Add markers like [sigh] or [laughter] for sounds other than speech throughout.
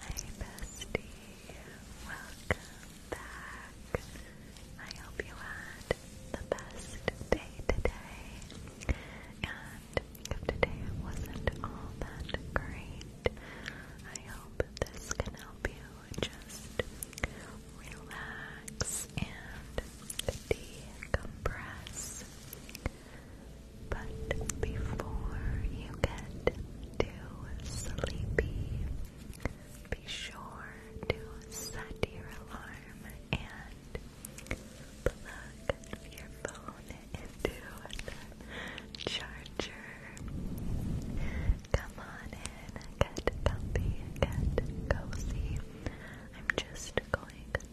Hi bestie, welcome back. I hope you had the best day today. And if today wasn't all that great, I hope this can help you just relax and decompress. But before you get too sleepy, be sure to set your alarm and plug your phone into the charger. Come on in, get comfy, get cozy. I'm just going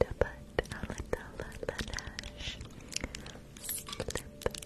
to put a little lash slip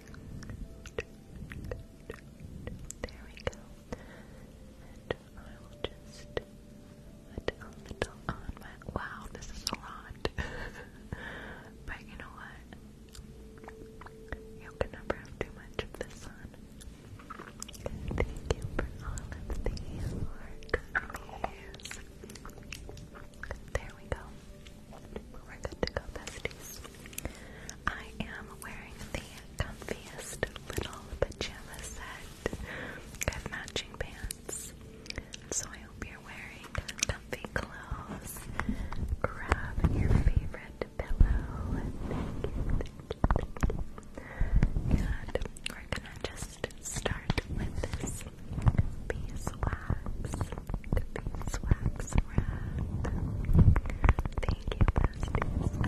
There we go. And I will just put a little on my. Wow, this is a lot. [laughs] but you know what? You can never have too much of the sun. Thank you for all of the work. There we go. We're good to go, besties. I am wearing the comfiest little pajama set. I matching pants. So I hope you're wearing comfy clothes. Grab your favorite pillow. Thank we're gonna just start with this piece beeswax, the beeswax Thank you, besties.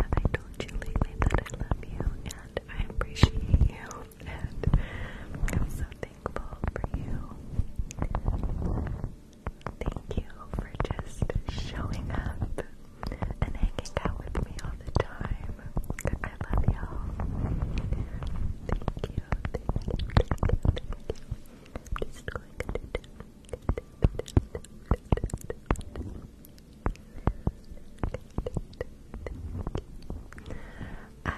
Have I told you lately that I love you and I appreciate you and I'm so thankful for you? Thank you for just showing up and hanging out with me all the time. I love y'all. Thank you, I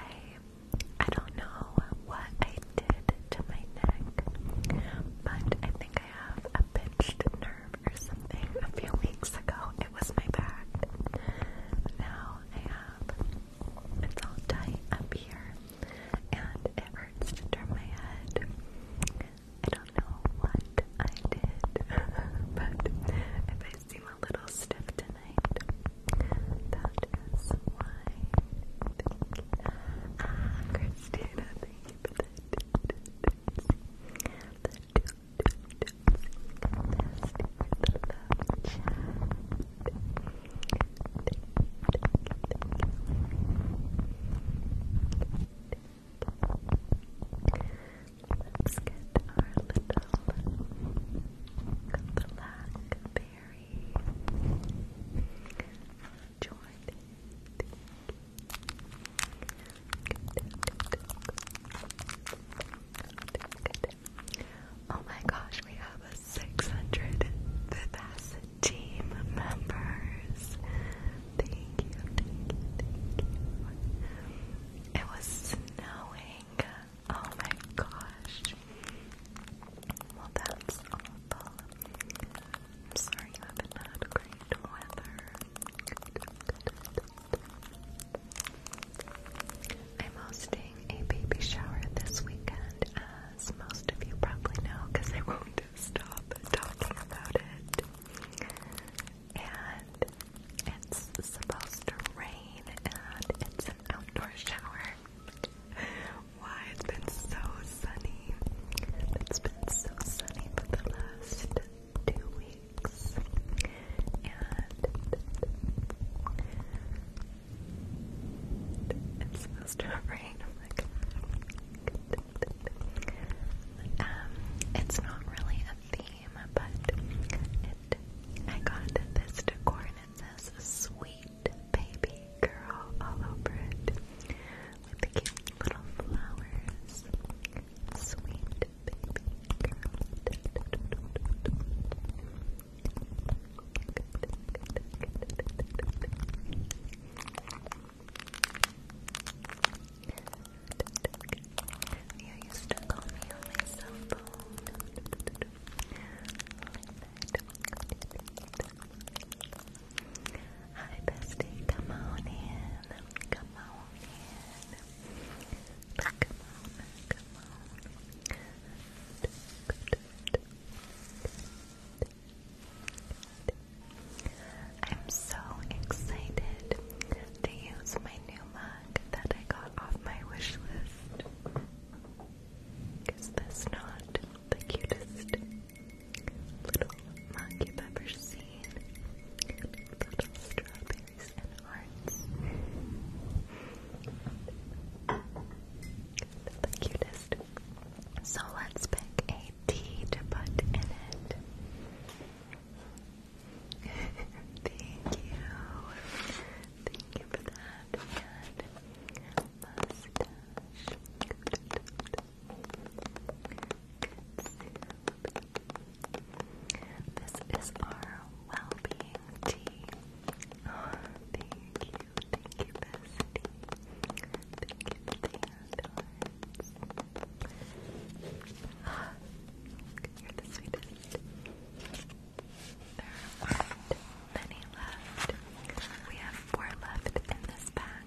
I don't know what I did to my neck, but I think I have a bit nerve or something a few weeks ago. It was my back. Now I have it's all tight up here and it hurts to my head. I don't know what I did, [laughs] but if I seem a little stiff tonight, that is why. Ah, Christina, thank that. Let's get our little blackberry joined. Thank you, Oh my gosh, we have a 600 Vivacity team members. Thank you, thank you. It was snowing. Oh my gosh. Well, that's awful. I'm sorry you have had great weather. I'm hosting a baby shower this weekend, as most of you probably know, because I won't [laughs] stop talking about it. And it's supposed to rain, and it's an outdoor shower. Why it's been so sunny. It's been so sunny for the last two weeks. And it's supposed to rain. um, it's not really a theme, but I got this decor and it says sweet baby girl all over it with cute little flowers. Sweet baby girl. You used to call me on my cell phone. Hi, bestie. Come on in. Come on in. Come on. Come on. I'm so excited to use my new mug that I got off my wish list. Is this not the cutest? little monkey pepper seed, little strawberries and hearts. The cutest. So let's pick a tea to put in it. [laughs] Thank you. Thank you for that. And mustache. This is our well-being tea. thank you, thank you, Bessie. Thank you for the hearts. You're the sweetest. There are many left. We have four left in this pack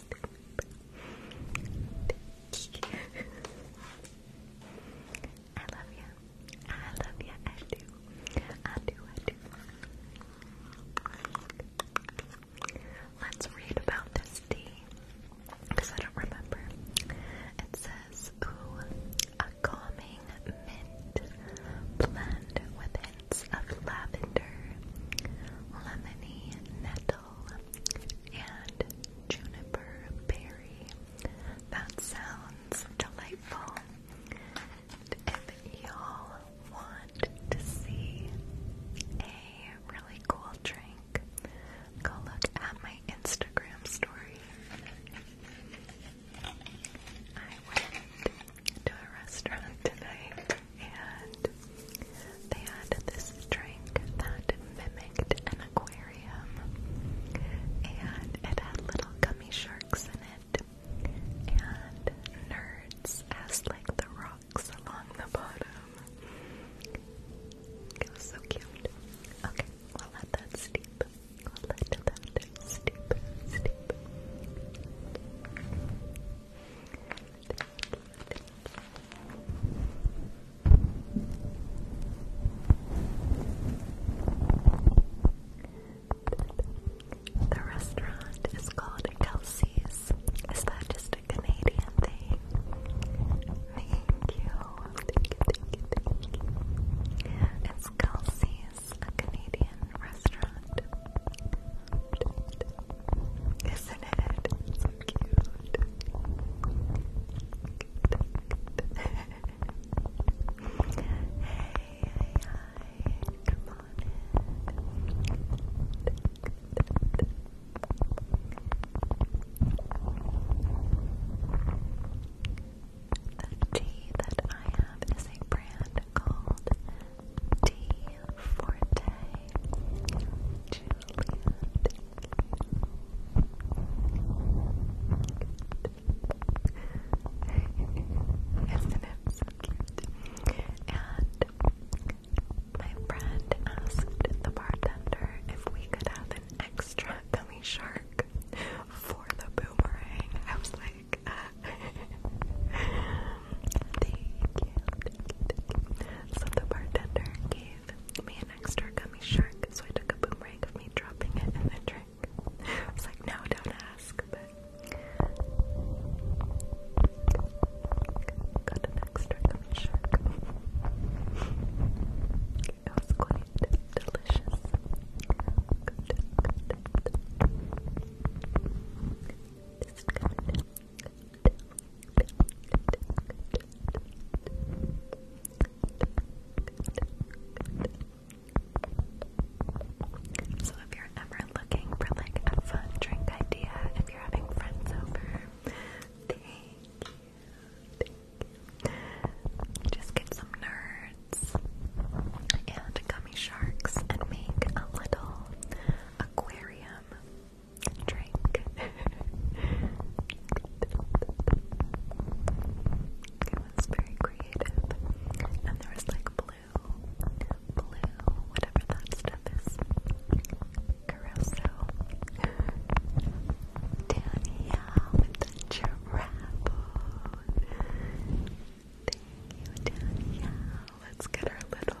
[laughs] I love you. I love you. I do. I do. I do. Let's read about this tea because I don't remember. It says, "Ooh, a calming mint blend with hints of lavender, lemony nettle." basil, and juniper berry. That sounds delightful. And if y'all want to see a really cool drink, go look at my Instagram story. I went to a restaurant tonight and they had this drink that mimicked an aquarium, and it had little gummy sharks in it, and nerds as like the rocks along the bottom. It was so cute. Okay, we'll let that steep. We'll let that steep, steep. The restaurant is called Kelsey's. Is that just a Canadian thing? Thank you. Thank you, thank you, thank you. It's Kelsey's, a Canadian restaurant. Isn't it? so cute. hey, Come on The tea that I have is a brand called Tea Forte isn't it so cute? And my friend asked the bartender if we could have an extra gummy shark for the boomerang. I was like, uh, [laughs] thank you. So the bartender gave me an extra gummy shark, so I took a boomerang of me dropping it and then drink. I was [laughs] like, no, don't ask, but got an extra gummy shark. it was quite delicious. So if you're ever looking for like a fun drink idea, if you're having friends over, Just get some nerds and gummy sharks and make a little aquarium drink. [laughs] it was very creative. And there was like blue, blue, whatever that stuff is. Caruso. Danielle the giraffe. Thank you, Danielle. Let's get our little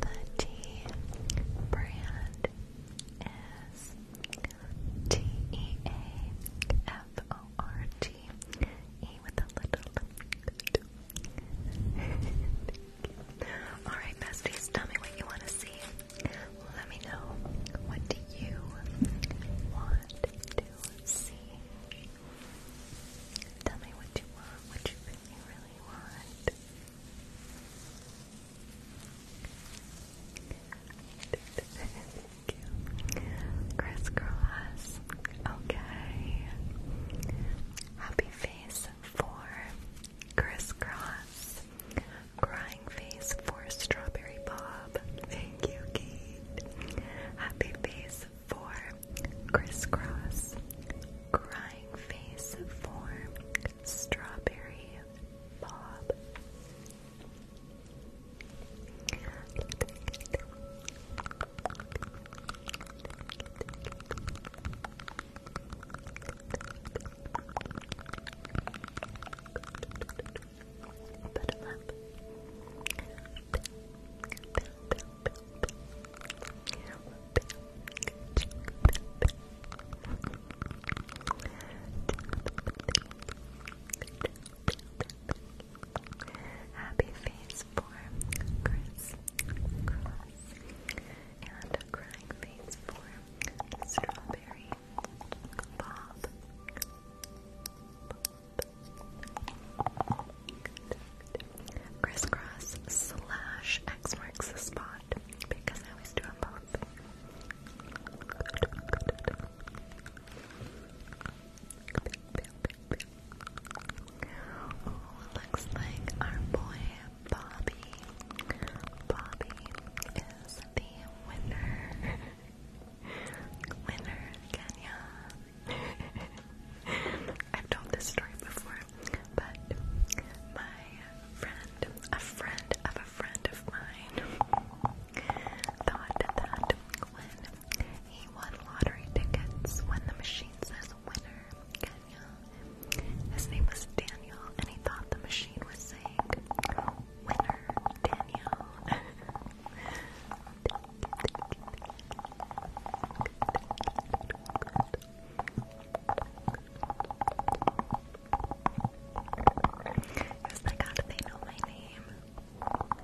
The tea brand is T E A F O R T E with a little. Alright, besties, tell me what you want to see. Let me know. What do you want to see? Tell me what you want, what you really, want. Thank you. Crisscross. Okay. Happy face for crisscross. Crying face for strawberry bob. Thank you, face for crisscross, crying face for strawberry bob. Happy face for Chris Cross and crying face for Strawberry Bob. Crisscross slash X marks the spot because I always do them both. Oh, looks like our boy Bobby. Bobby is the winner. [laughs] winner, Kenya. [laughs] I've told this story before, but my friend, a friend of a friend of mine, thought that when he won lottery tickets, when the machine says winner, his name was Daniel, and he thought the machine was saying winner, Daniel. [laughs] Yes, I got They know my name. I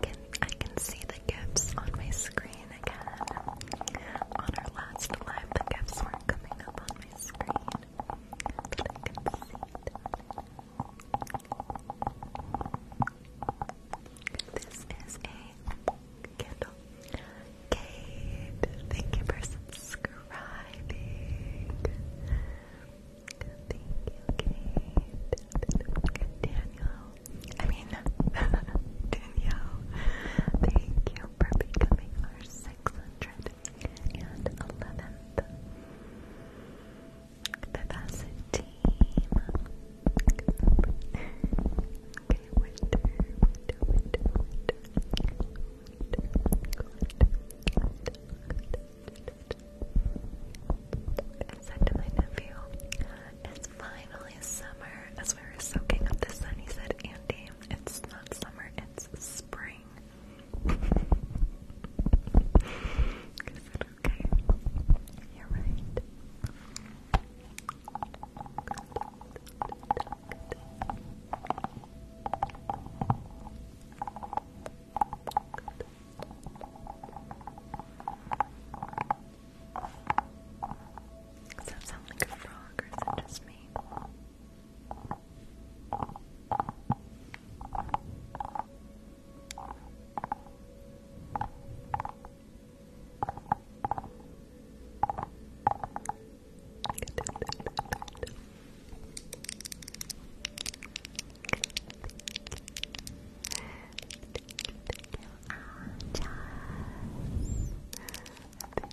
can I can see the gifts on my screen. On our last live, the gifts were coming up on my screen, but I can see This is a candle. Kate, thank you for subscribing. Thank you, Kate. Daniel. I mean, Danielle, thank you for becoming our 611th Vivacity it's finally summer. As we were soaking up the sun, he said, Andy, it's not summer, it's spring. I said, okay. You're right. Does that sound like a frog or is that just me? Thank you, Alchaz. Thank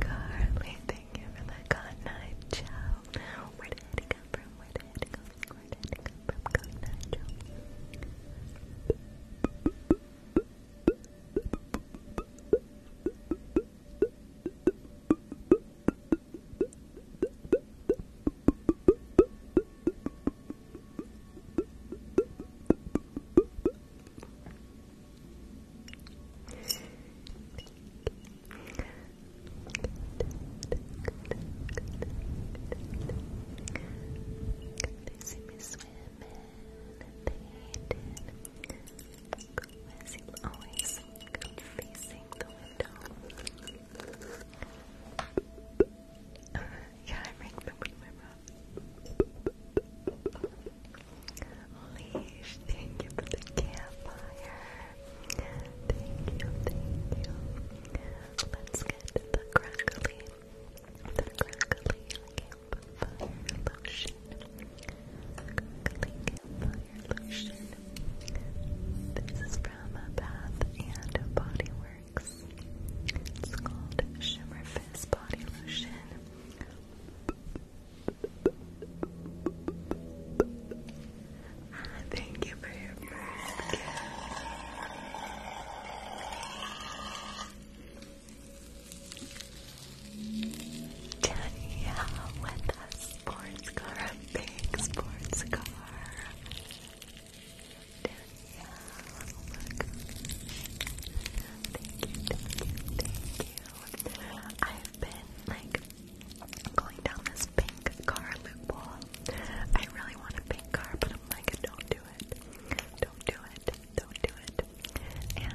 Carly, thank you for the night, Joe. Where did it come from? Where did it come Where did it come from? Good night, they see me swimming, they did. As always, I'm facing the window. yeah, I make them with my mouth. Leash, thank you for the campfire. Thank you, thank you. Let's get the crackly, the crackly campfire lotion. Crackly campfire lotion. This is from Bath and Body Works. It's called Shimmer Fizz Body Lotion. Thank you for your first gift. Danielle with a sports car, a big sports car. Danielle, oh Thank you, thank you, thank you. I've been like going down this pink car loophole. I really want a pink car, but I'm like, don't do it. Don't do it. Don't do it. And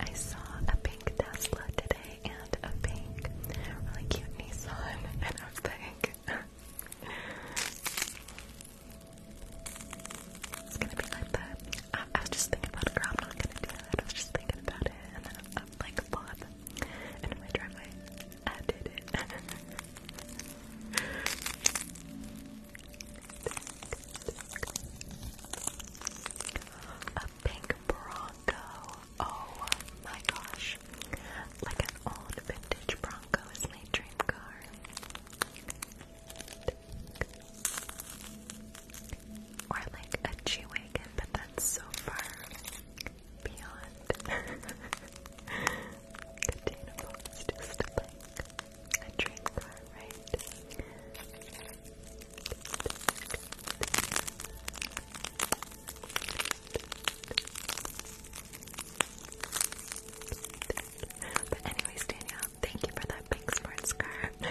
I saw a pink Tesla today and a pink, really cute Nissan, [laughs] and I was [laughs] it's gonna be like that. I was just thinking about it, girl. I'm not gonna do that. I was just thinking about it, and then I'm, i like, Bob. And in my driveway, I did it. [laughs] A pink Bronco. Oh my gosh. Like an old vintage Bronco is my dream car. Or like a G-Wagon, but that's so far beyond [laughs] containable. just a train car, right? But anyways, Danielle, thank you for that big sports car. [laughs]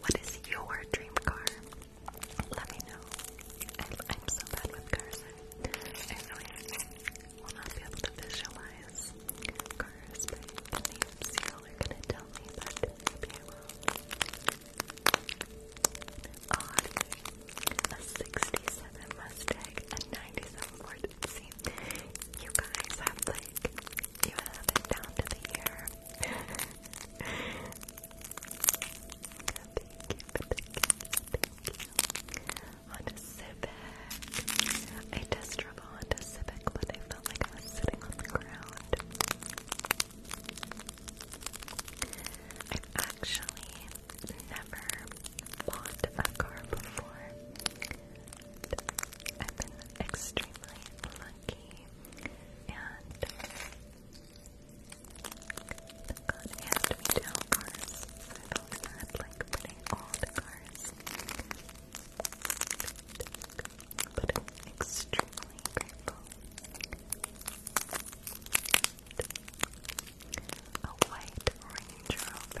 What is your dream car? Let me know. I'm, so bad with cars. I really will not able to visualize cars by the you tell me, but maybe I A 67 Mustang, a 97 Ford. See, you guys have like, you have it down to the year. Honda Civic. I test drove a Civic, but I felt like I was sitting on the ground. I've actually never bought a car before. I've been extremely lucky. Jackie and the me down cards. I've always had cards, but I'm extremely grateful. A white Range Rover or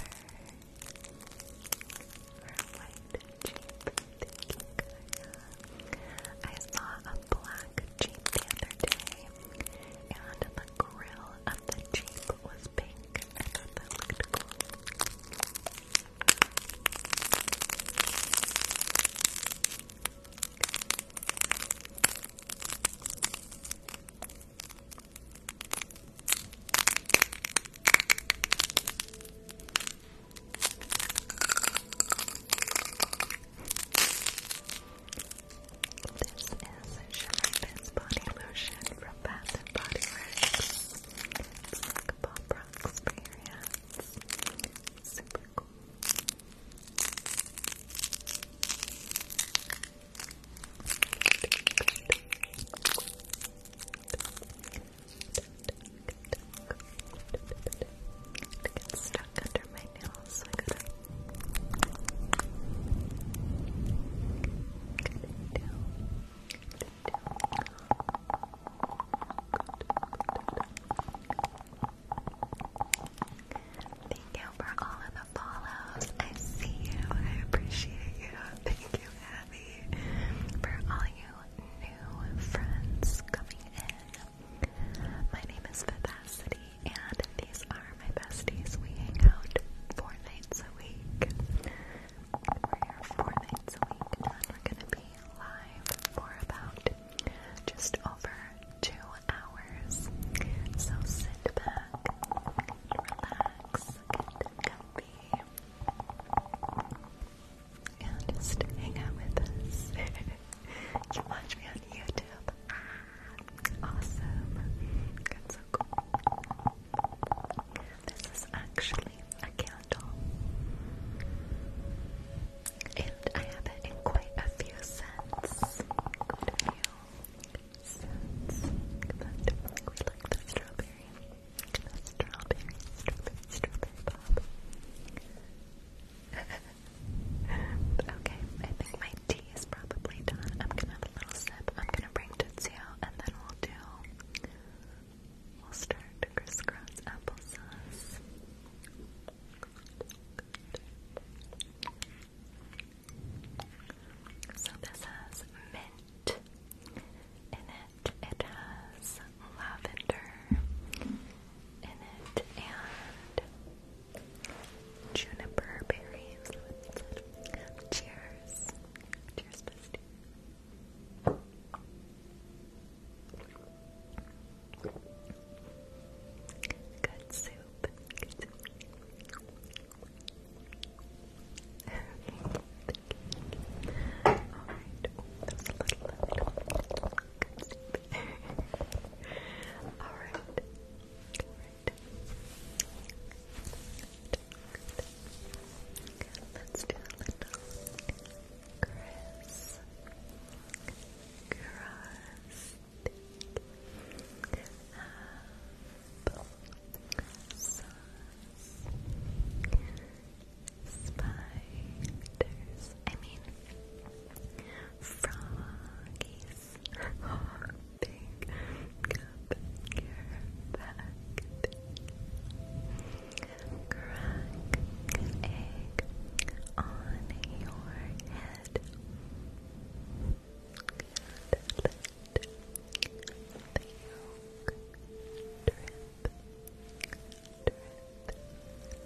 white Jeep. Thank you, I saw a black Jeep the other day, and the grill of the Jeep was pink. I thought that looked cool. This is Shine Body Lotion from Bath & Body Works. It's like a pop experience. Super cool. Thank you for all of the follows. I see you. I appreciate you. [laughs] Thank you, Abby, for all you new friends coming in. My name is Vivacity, and these are my besties. We hang out four nights a week. We're here four nights a week, and we're gonna be live for about just over two hours. So sit back, relax, get comfy. Yeah, just hang out with us. [laughs] you watch me on YouTube. awesome. That's so cool. This is actually a candle. And I have it in quite a few scents. Quite scents. But strawberry. The strawberry, strawberry, strawberry pop. [laughs] okay, I think my tea is probably done. I'm gonna have a little sip. I'm gonna bring Tootsie and then we'll do. We'll start crisscross applesauce. So this has mint in it. It has lavender in it and juniper berries. Cheers. Cheers, bestie. Good soup. Good soup. [laughs] Alright, Alright. Let's do a little Chris. Cross. Apple. Spiders. I mean, froggies are big compared Crack egg on your head.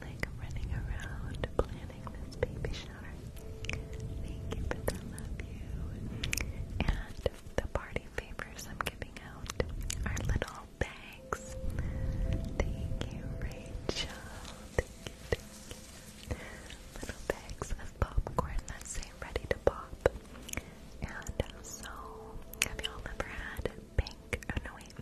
like running around planning this baby shower. Thank you for the love you. And the party favors I'm giving out are little bags. Thank you, Rachel. Little bags of popcorn that say ready to pop. And so, have y'all ever had pink? Oh no, wait.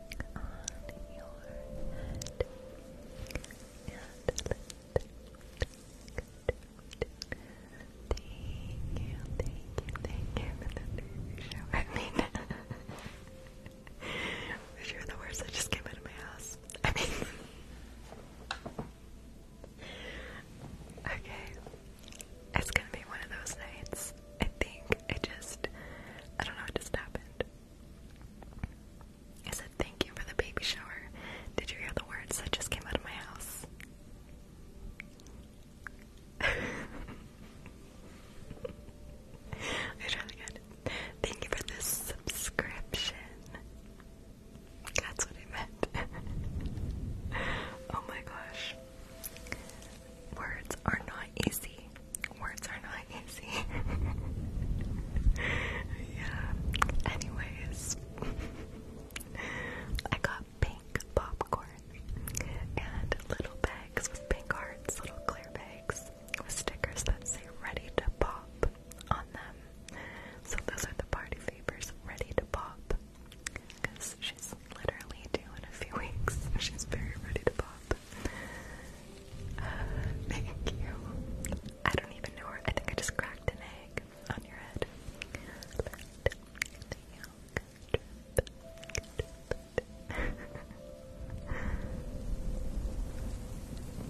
I mean, if you're the worst, I just came out of my house. I mean, okay, it's gonna be one of those nights. I think it just, I don't know, it just happened. I said, thank you for the baby shower. Did you hear the words that just came out of my house? [laughs] I tried again. Thank you for this subscription. That's what it meant. [laughs] oh my gosh. Words are not easy. Words are not easy. [laughs] yeah. Anyways, I got pink popcorn and little bags with pink hearts, little clear bags with stickers that say ready to pop on them. So those are the party favors, ready to pop literally do in a few [laughs] weeks. She's very ready to pop. Uh, thank you. I don't even know I think I just cracked an egg on your head.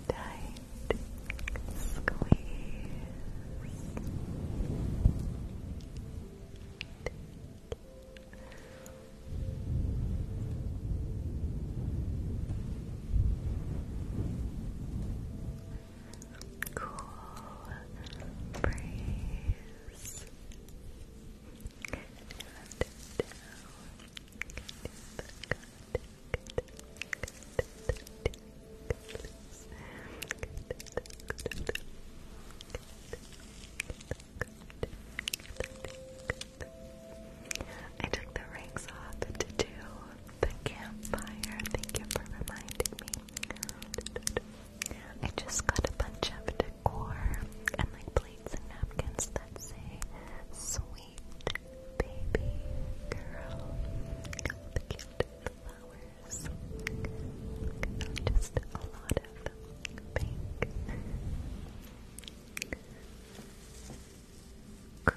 Tight squeeze. Cool breeze. I took the rings off to do the campfire. Thank you for reminding me. I just got a bunch of decor and like plates and napkins that say sweet baby girl. Just a lot of pink, Chris, Cross, Froggies, hopping up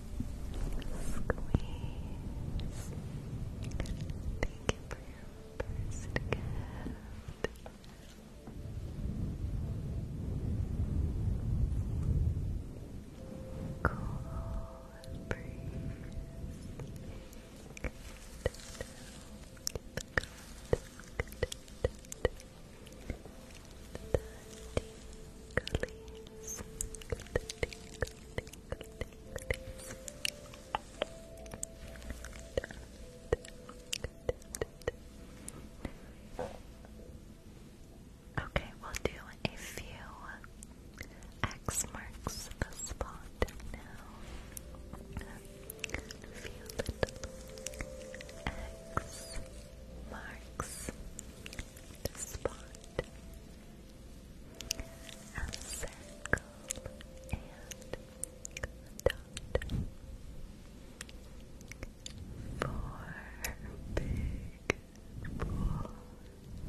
Squeeze. Thank you for your first gift. Cool breeze. Dirty, Okay, we'll do a few X marks the spot now. A few little X marks the spot a circle and a dot. Four big boulders tiny little rock.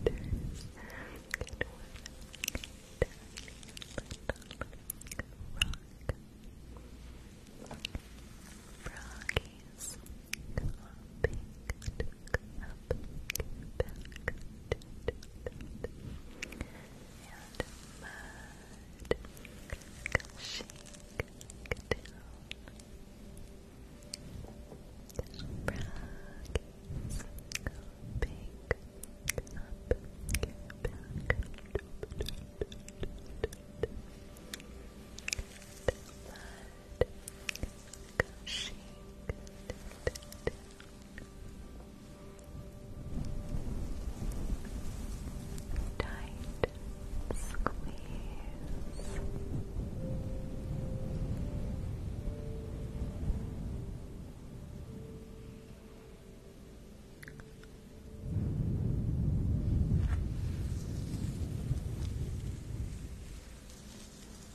Froggies hopping back, up, back, and mud, uh, shake, down, rags, big, up, back, mud, gushing tight squeeze Good.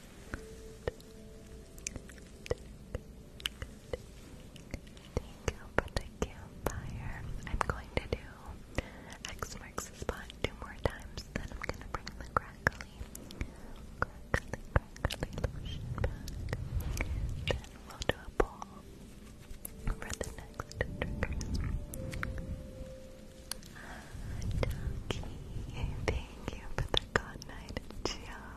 Thank you for the campfire. I'm going to do X marks the spot two more times, then I'm going to bring the crackly, crackly, crackly lotion we'll do a ball for the next Ducky, thank you for the good night, Joe.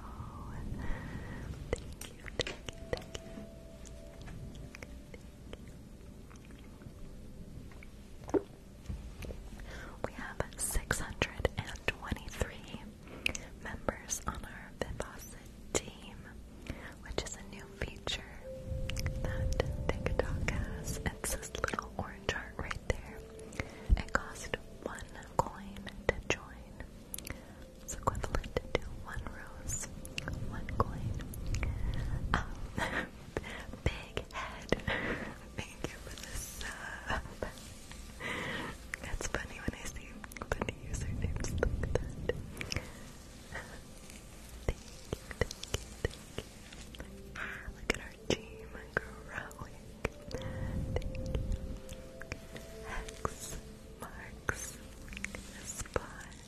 Thank you, thank thank you. We have 623 members on our Vivacit team, which is a new feature that TikTok has. It's this little orange heart there. It cost one coin to join. It's equivalent to one rose, one coin. Um, [laughs] big head. [laughs] Thank you for the sub. That's funny when I see funny usernames like that. Ah, look at our Archie McGrawick. Thank you. Hex marks a spot,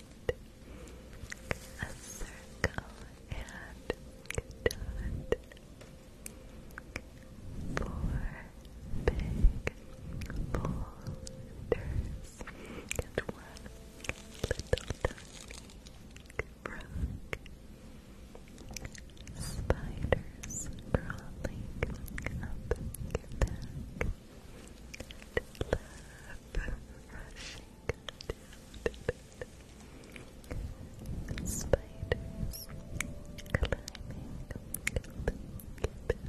a circle, and a dot. Four big boulders and one little tiny Spiders crawling up your back. rushing down the Spiders climbing up your back.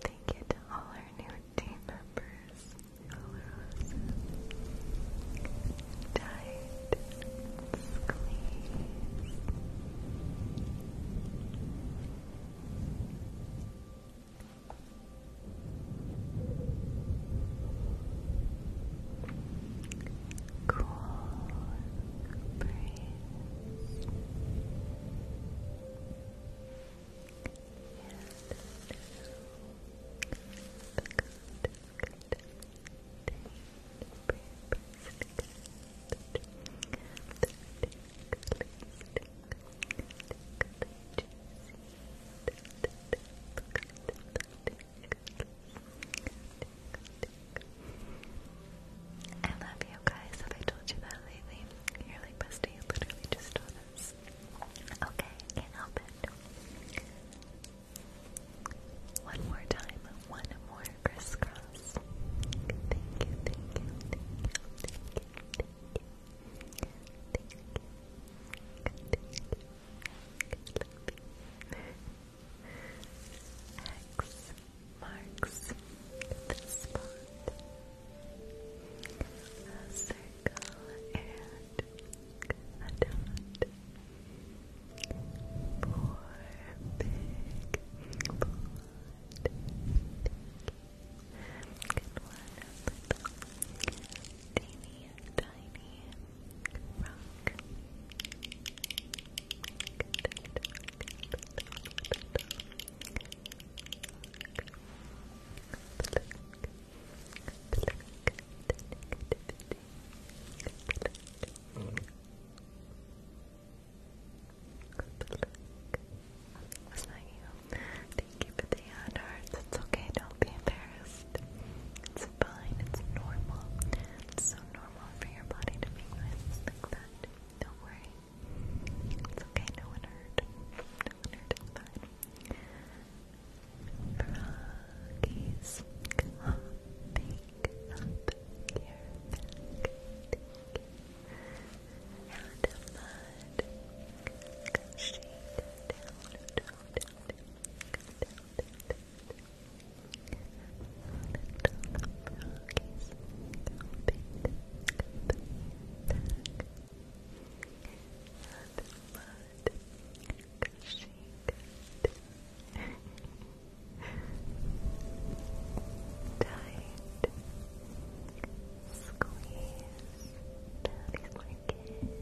Thank you all our new team members. Olorosa Tight Squeeze Cool Breeze I love you guys. Have I told you that lately? You're like bestie. literally just told Okay, can't help it. One more time, one more crisscross. Thank you, X marks the spot a circle and a dot. Four big blonde and one little teeny tiny rock. Was that you? Thank you for the ad hearts. It's okay, don't be embarrassed. It's fine, it's normal. It's so normal for your body to be noises like that. Don't worry. It's okay, no one hurt. No one hurt, it's fine. Froggies, clomping up your back. And the mud gushing down, down, down, down, down, down. Little froggies, clomping up your back. And blood gushing Tight squeeze. That is my kid. Cool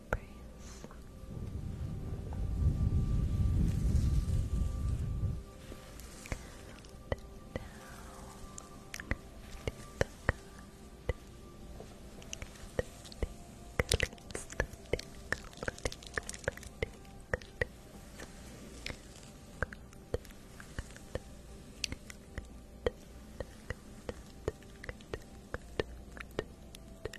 embrace. And now,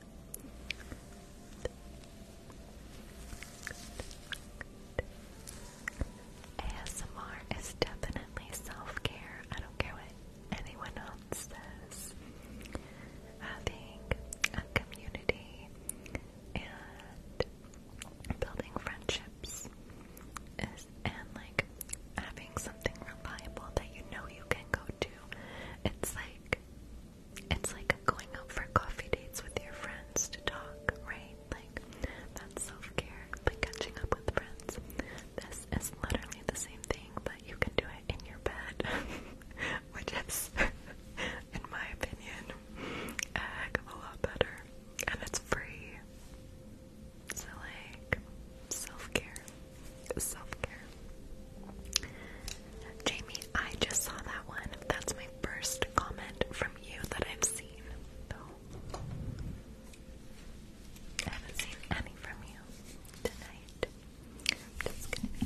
ASMR is definitely self care. I don't care what anyone else says. Having a community and building friendships is, and like having something reliable that you know you can go to. It's like it's like going out for coffee dates with your friends to talk, right? Like, that's self care, like catching up with friends. This is literally the same thing, but you can do it in your bed, [laughs] which is, [laughs] in my opinion, a heck of a lot better. And it's free. So, like, self care. Self care. Jamie, I just saw that one. That's my first comment from you that I've seen, though. I haven't seen any from you tonight. I'm just gonna eat.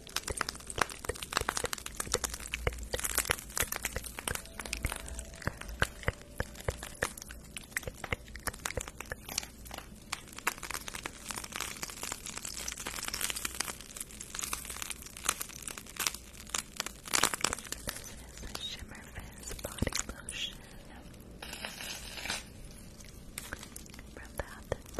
This is the Shimmer Fizz Body Lotion from Bath and Body Works.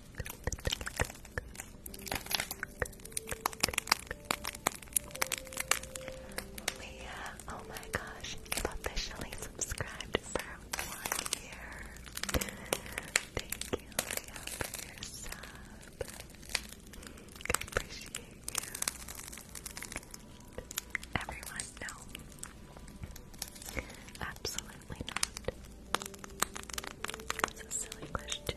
Leah, oh my gosh, you've officially subscribed for one year. Thank you, for your sub. I appreciate you. Everyone, no. Absolutely not. That's a silly question.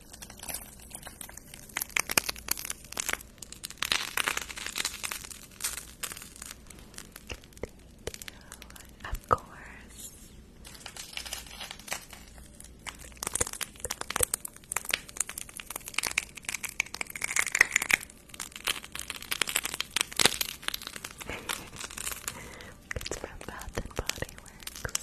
Of course. [laughs] it's from Bath and Body Works.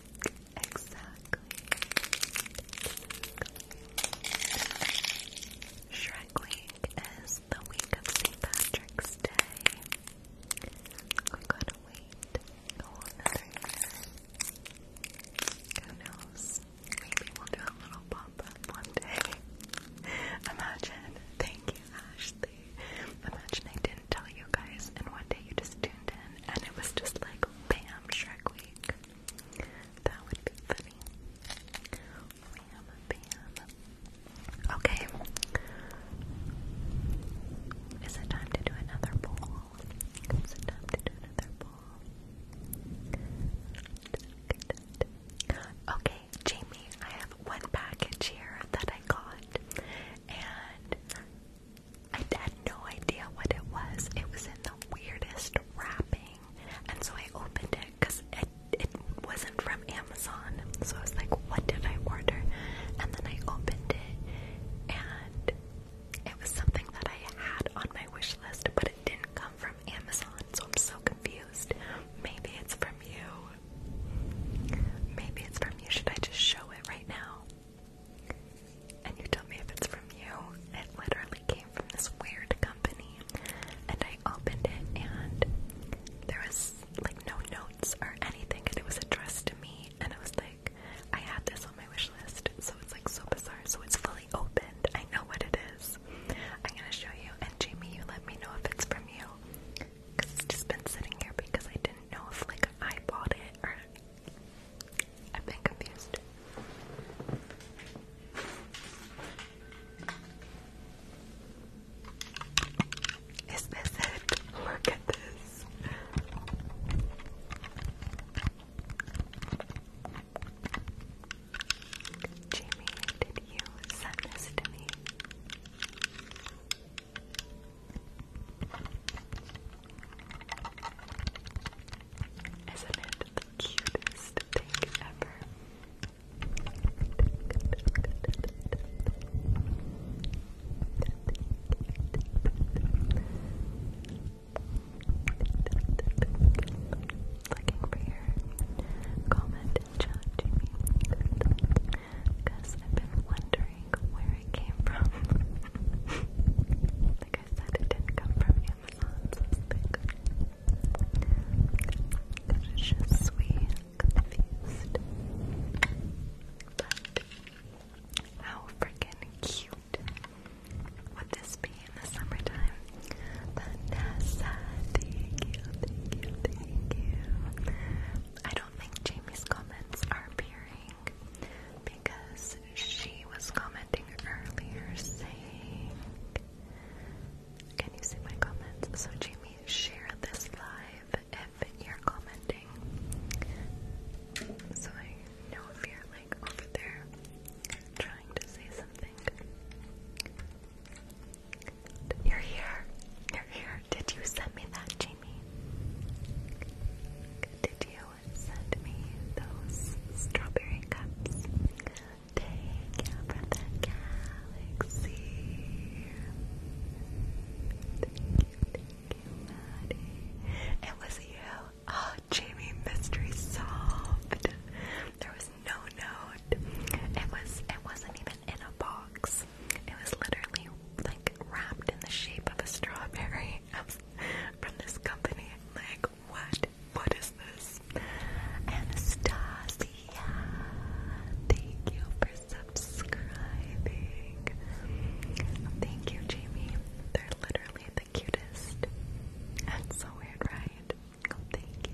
Exactly. Shrek Week is the week of St. Patrick's Day. We gotta wait a whole another year. Who knows? Maybe we'll do a little pop one day. [laughs] Imagine. Thank you, Ashley. Imagine I didn't tell you guys and one day you just tuned in and it was just like, bam, Shrek Week. That would be funny. Okay. Is it time to do another poll? Is it time to do another poll? Okay, Jamie, I have one package here that I got, and I had no idea what it was. It was in the weirdest wrapping, and so I opened it because it it wasn't from Amazon. So I was like, "What did I order?" And then I opened it, and it was something that I had on my wish list, but it didn't come from Amazon. So I'm so confused. Maybe it's from you. Maybe it's from you. Should I just show it right now? And you tell me if it's from you. It literally came from this weird company. And I opened it and there was like no notes or anything and it was addressed to me and I was like, I had this on my wish list, so it's like so bizarre. So it's fully opened. I know what it is. I'm gonna show you and Jamie you let me know if it's from you. Cause it's just been sitting here because I didn't know if like I bought it or I've been confused. Is this it? Look at this. Jamie, did you send this to me? Isn't it the cutest thing ever? Looking for your comment and chat, Jimmy. Because I've been wondering where it came from. [laughs] Like I said, it didn't come from Amazon, so it's like je suis confused. how freaking cute would this be in the summertime? Vanessa, thank you, thank you, thank you. I don't think Jamie's comments are appearing because she was commenting earlier saying, Can you see my comments? So, Jamie, share this live if you're commenting. So I know if you're like over there trying to say something. You're here. You're here. Did you send me that, Jamie? Did you? sent me those strawberry cups. Take you from the galaxy. Thank you, thank you, Maddie. It was you. Oh, Jamie Mystery solved. There was no note. It was it wasn't even in a box. It was literally like wrapped in the shape of a strawberry [laughs] from this company. Like what? What is this? Anastasia, thank you for subscribing. Thank you, Jamie. They're literally the cutest. That's so weird, right? Thank you.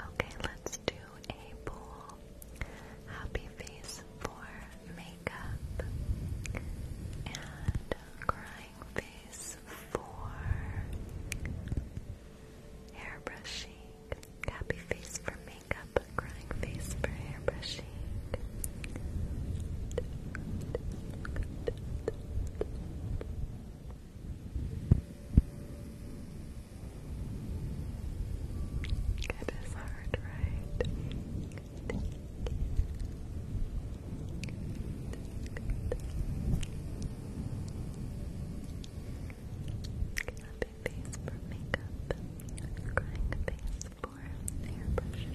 Okay, let's do a poll. Happy face for makeup and crying face for hairbrushing. Happy face for makeup, crying face for hairbrushing. It is hard, right? Thank you. face for makeup. Crying face for airbrushing.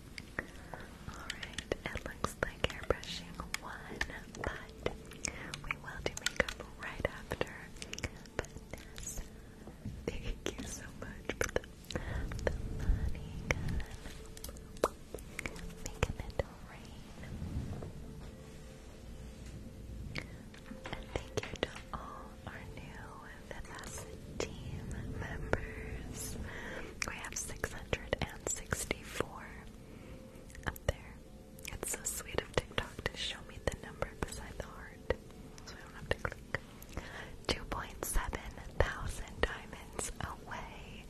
Alright, it looks like airbrushing one, but we will do makeup right after. Vanessa, thank you so much for the, money gun. Making it rain. And thank you to all our new Vanessa team members. We have 664 up there. It's so sweet of TikTok to show me the number beside the heart so I don't have to click. 2.7 thousand diamonds away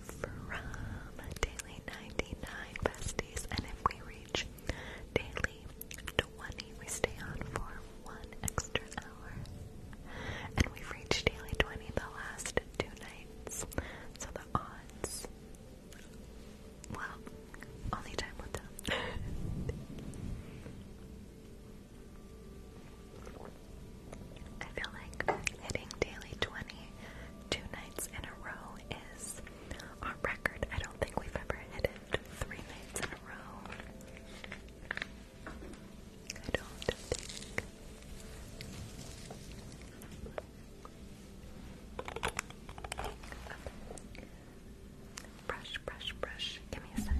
from daily 99 besties, and if we reach daily 20, we stay on for one extra and we've reached daily 20 the last two nights. So the odds. Well, only time will tell. [laughs] I feel like hitting daily 20 two nights in a row is our record. I don't think we've ever hit it three nights in a row. I don't think. Brush, brush, brush. Give me a sec.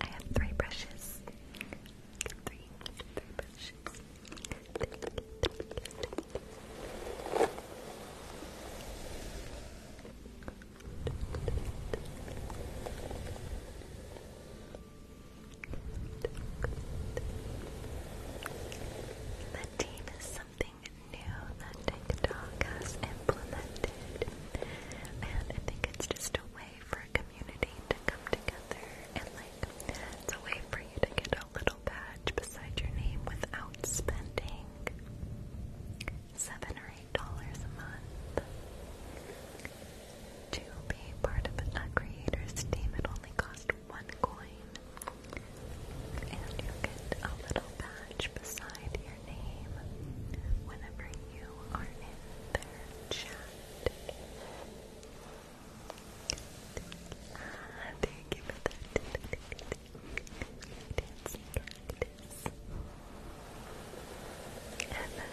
I have three brushes. Three, three brushes. The team is something new that TikTok has implemented, and I think it's just a way for community to come together and like it's a way for you to get a little badge beside your name without spending seven or eight dollars a month. To be part of a creator's team it only costs one coin. And you get a little badge beside your name whenever you are in their chat. Ah, thank you for that. Dancing cactus. And that.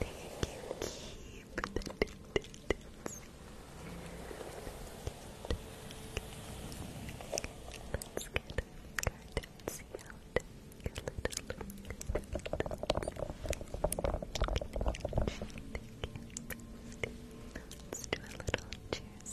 Thank you, keep the distance. Let's get curtains out. Let's do a little cheers.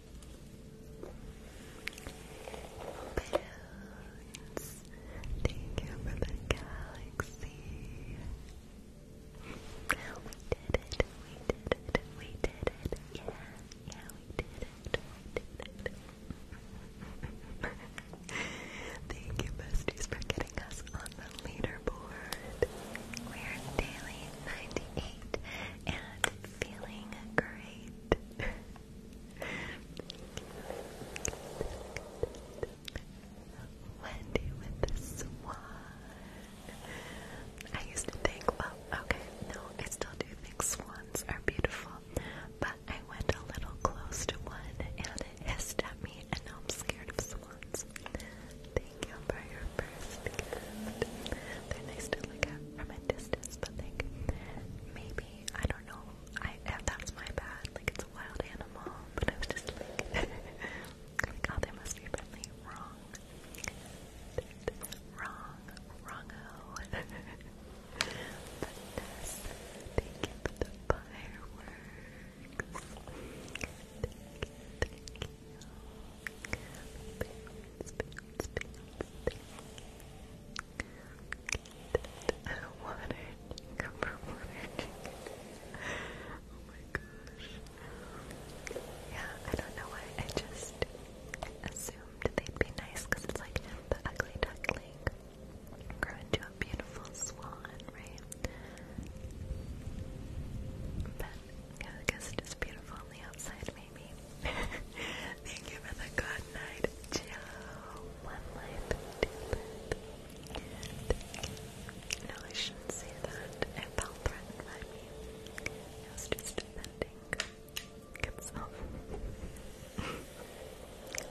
Balloons. Thank you the galaxy. We did it, we did it, we did it. Yeah, yeah, we did it, we did it. [laughs] Thank you, besties, for getting us on the leaderboard. We're daily 98 and feeling great. Wendy with the swan. I used to think, well, okay, no, I still do think swans are beautiful, but I went a little close to one and it hissed at me, and now I'm scared of swans. Thank you for your first gift. They're look at from a distance, but like maybe I don't know. I that's my bad. Like it's a wild animal, but I was just like, [laughs] like oh, they must be friendly. Wrong, wrong, wrongo. Vanessa, thank you for the fireworks. Water, cucumber water chicken. Oh my gosh. Yeah, I don't know why I just assumed they'd be nice because it's like the ugly duckling grow into a beautiful swan, right? But yeah, I guess it is beautiful on the outside, maybe. [laughs] Thank you for the good night, Joe. One life, two life. No, I shouldn't say that. It felt threatened by me. I was just defending itself.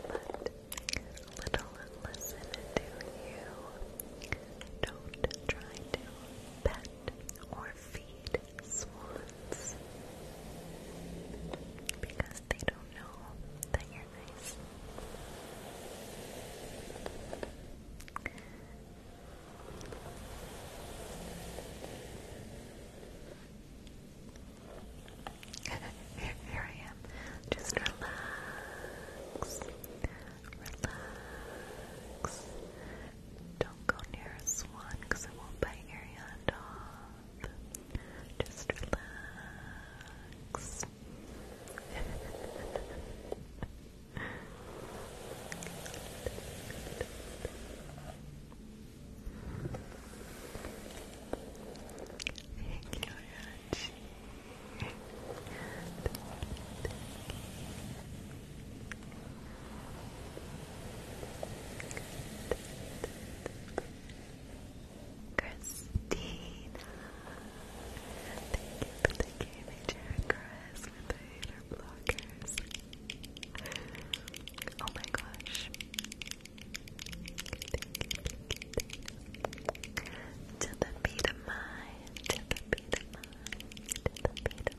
but little listen to you. Don't try to pet or feed swans because they don't know that you're nice. here, here I am. Just relax. Relax. Don't go near a swan because it won't bite your hand off. Just relax. Thank you, Rachi. Christina, thank you the gaming chair, Chris, with the blockers. Oh my gosh. To the beat of mine, to the beat of mine, to the beat of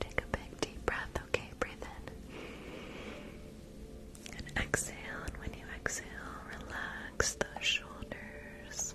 Take a big deep breath, okay? Breathe in and exhale. And when you exhale, relax those shoulders.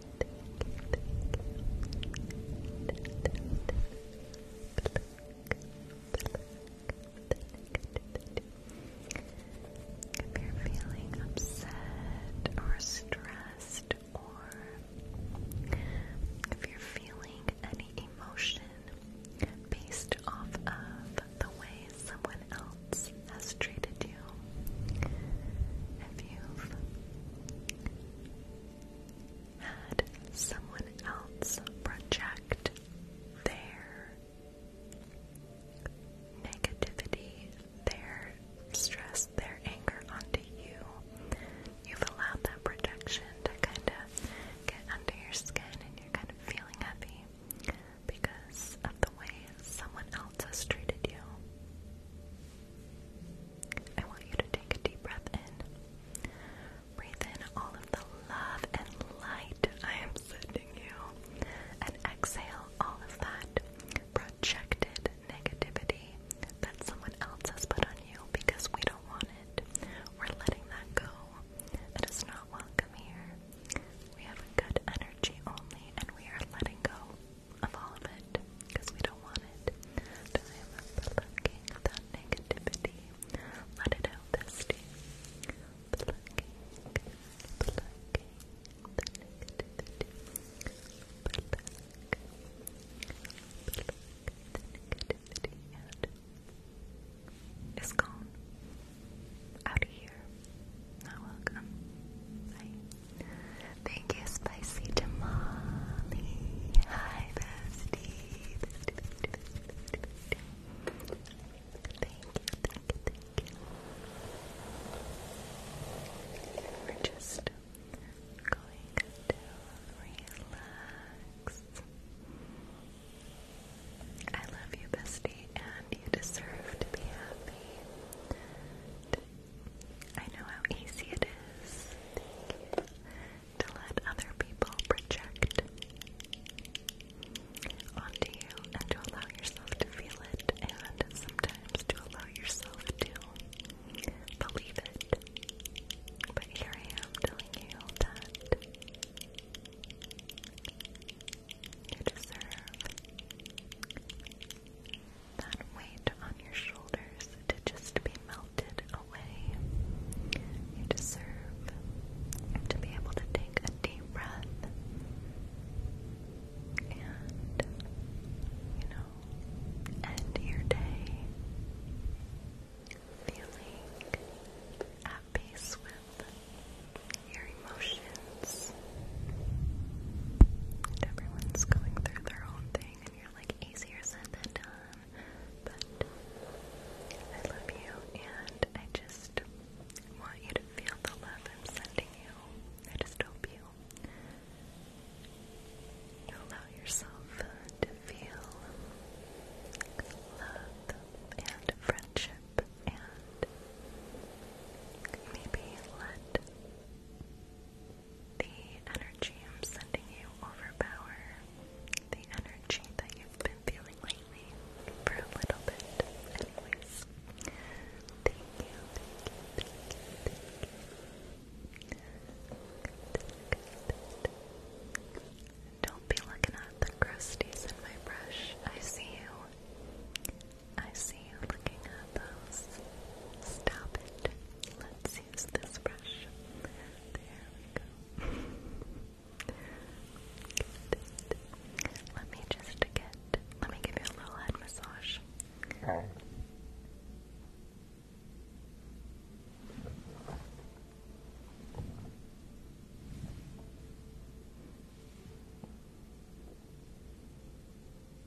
If you're feeling upset or stressed, or if you're feeling any emotion based off of the way someone else has treated you. If you've had someone else project their negativity, their stress, their anger onto you, you've allowed that projection to kind of get under your skin and you're kind of feeling heavy because of the way someone else has treated you. I want you to take a deep breath in. Breathe in all of the love and light I am sending you. And exhale all of that projected negativity that someone else has put on you because we don't want it. We're letting that go. That is not welcome here. We have good energy only, and we are letting go of all of it because we don't want it. Time for looking at that negativity. Let it out, bestie. Plucking, plucking the negativity. Pluck, pluck the negativity and it's gone. Out of here. Not welcome. Bye. Thank you, Spicy Tamale. Hi, bestie. Thank you, just going to relax. I love you, bestie, and you deserve to be I know how easy it is to let other people project onto you and to allow yourself to feel it and sometimes to allow yourself to believe it. But here I am telling you that you deserve that weight on your shoulders to just be melted away. You deserve to be able to take a deep breath and, you know, end your day feeling at peace with your emotions is. everyone's going through their own thing, and you're like, easier said than done. But I love you, and I just want you to feel the love I'm sending you. I just hope you you allow yourself to feel love and friendship and maybe let the energy I'm sending you overpower the energy that you've been feeling lately for a little bit. thank you, Don't be looking at the crusties in my brush. I see you. I see you looking at those. Stop it. Let's use this brush. There we go. [laughs] Let me just get. Let me give you a little head massage. Okay.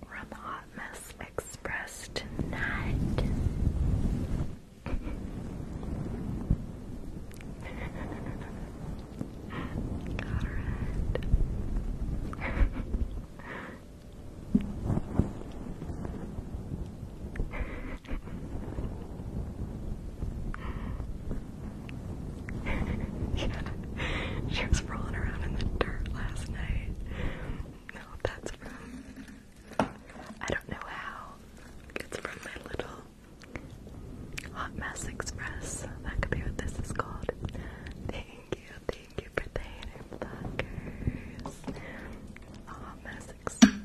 From Hot Mess Express tonight. Got [laughs] yeah. [laughs] she was rolling around in the dirt last night. No, that's from. I don't know how. It's from my little Hot Mess Express. That could be what this is called. Thank you, thank you for the Hot Mess Express. [laughs]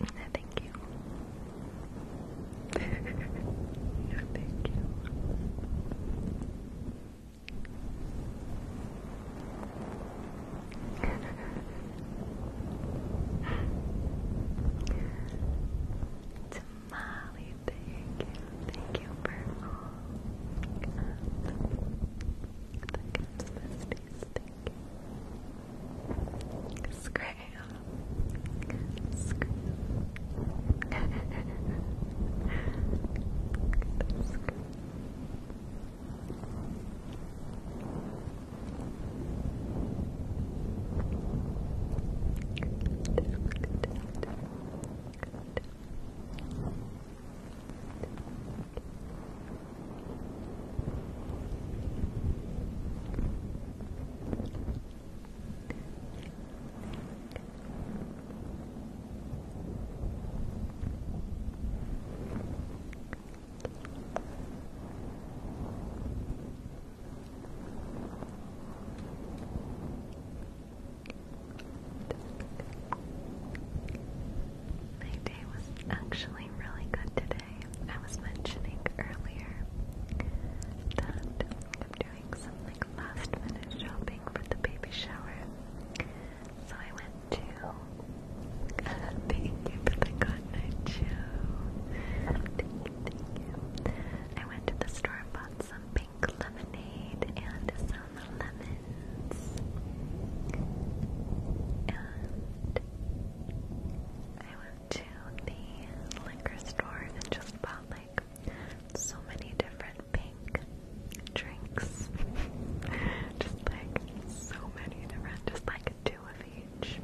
No, thank you. no, thank you. Tamale, thank you. Thank you for all. the gifts, Scram. Scram. Scram. My day was actually really good today. I was mentioning earlier that I'm doing some last minute shopping for the baby shower. So I went to uh, thank you for the good show. I went to the store and bought some pink lemonade and some lemons. And I went to the liquor store and just bought like so many different pink drinks. [laughs] just like so many different, just like two of each.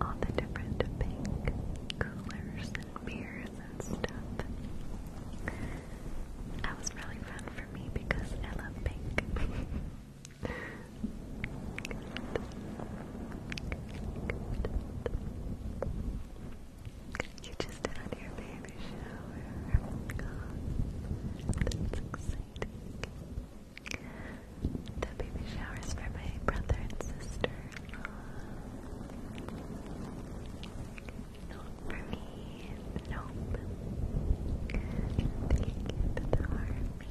All the different pink coolers and beers and stuff. That was really fun for me because I love pink. [laughs] You just had your baby shower. that's exciting. The baby shower is for my brother and sister. Not for me. Nope. They get the army.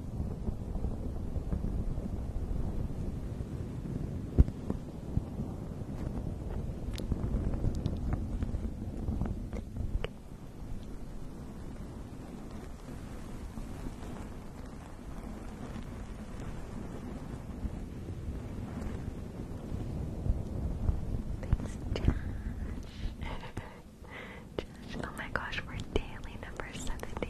Thanks, [laughs] Josh. oh my gosh, we're daily number 73.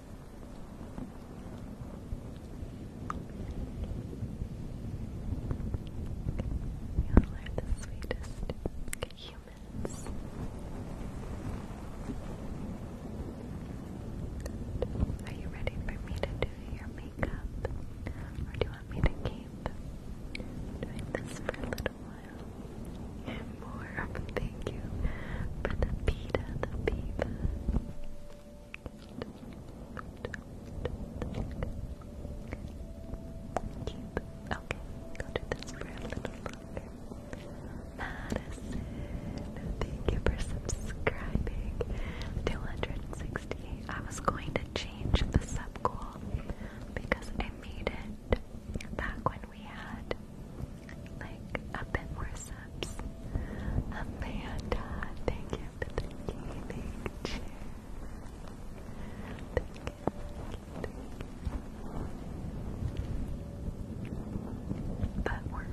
you are the sweetest humans. Are you ready for me to do your makeup? Or do you want me to keep doing this for a little while? More, thank you for the pita, the pita. Okay, go do this for a little longer. Madison, thank you for subscribing. 268. I was going to change the subgoal because I made it back when we had like a bit more Amanda, thank you for the gaming chair. But we're,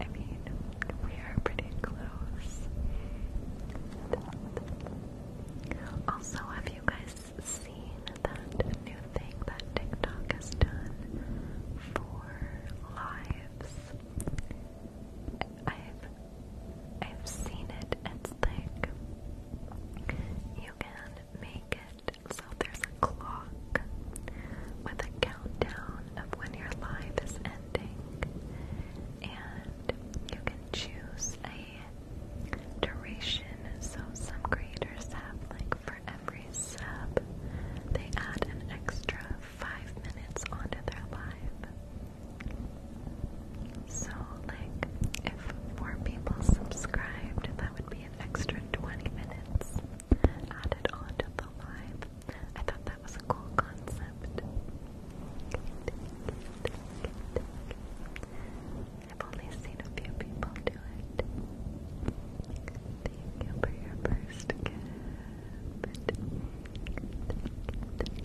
I mean, we are pretty close. Also, have you guys seen that new thing that TikTok has done for lives? I've I've seen it. It's like you can make it so there's a clock with a countdown of when your life is ending, and you can choose a duration. So some creators have like for every sub, they add an extra five minutes onto their live. So, like, if more people subscribed, that would be an extra 20 minutes added onto the live. I thought that was a cool concept. I've only seen a few people do it. Thank you first gift. Thank you, thank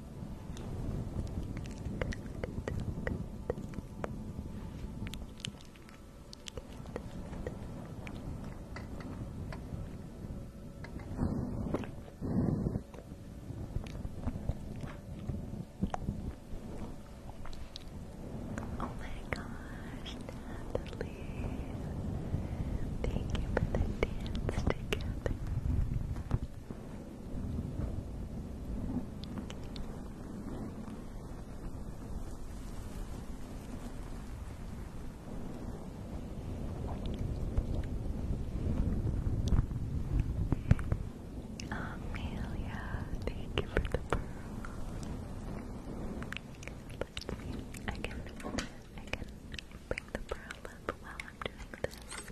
Oh my gosh, Natalie. Thank you for the dance together. Amelia, thank you for the pearl. Let's I can, I can bring the pearl up while I'm doing this.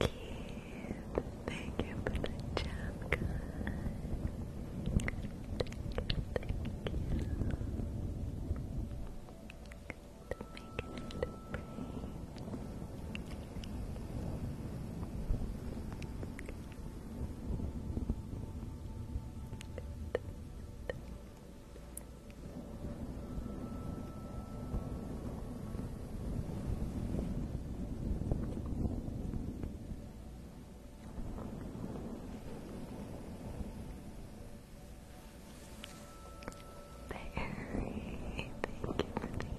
Keith, thank you for the jam, guys. Thank you, thank you. Making it Barry, thank you Keep the pearl.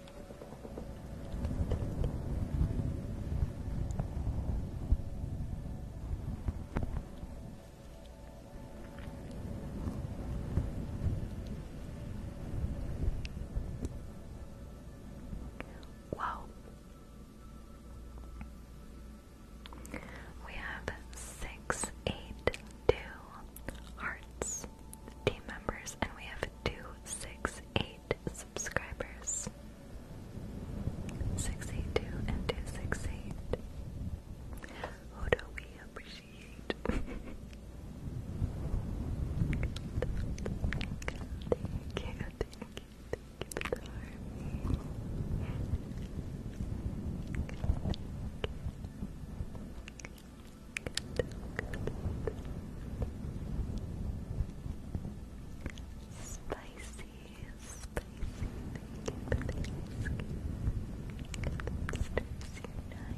Wow. We have six, eight, two hearts, team members, and we have two, six, eight subscribers. 682 and 268. Who do we appreciate? thank you, thank you, thank you, Spicy, spicy, spicy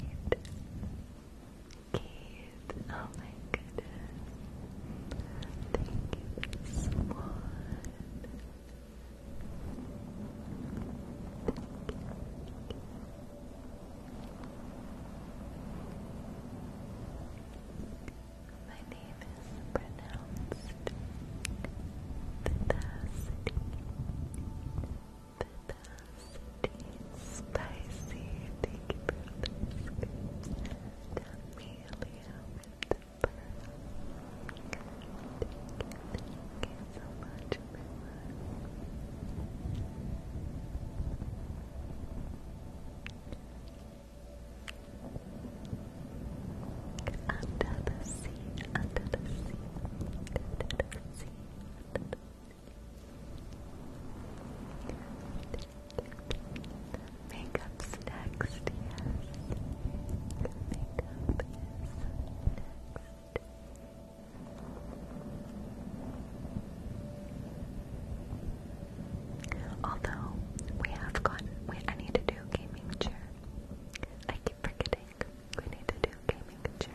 you Keith, oh my goodness. Thank you, Swan. Thank my name is pronounced Vivacity. Vivacity. Spicy. Thank you for the scoops. with the pearl. Thank you, so much, everyone. Under the sea, under the sea, under the sea, under the next, yes. Makeup next. Although we have gotten, we, need to do gaming chair. I keep forgetting we need to do gaming chair.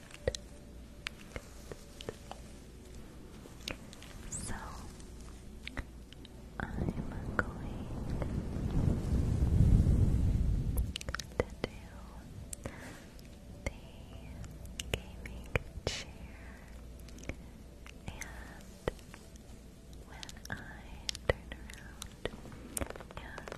So I'm going to do the gaming chair and when I turn around and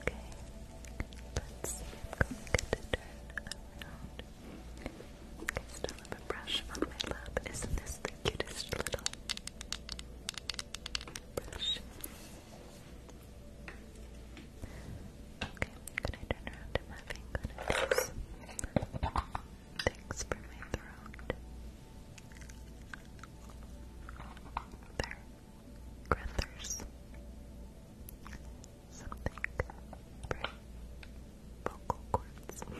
Okay, let's see. I'm going turn around. I still have a brush on my lap. Isn't this the cutest little brush? Okay, i turn around. I'm having good of Thanks for my throat. There. Grethers. Something for vocal cords. I'm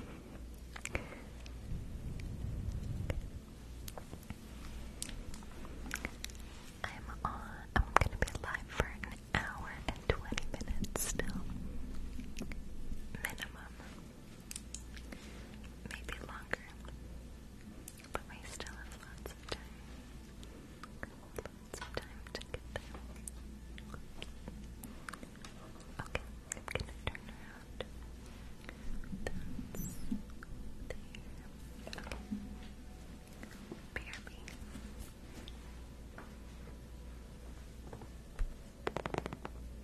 on, I'm gonna be live for an hour and 20 minutes still. Minimum. Maybe longer. But we still have lots of time. Lots of time to get there. Okay, I'm gonna turn around. there. Okay. BRB.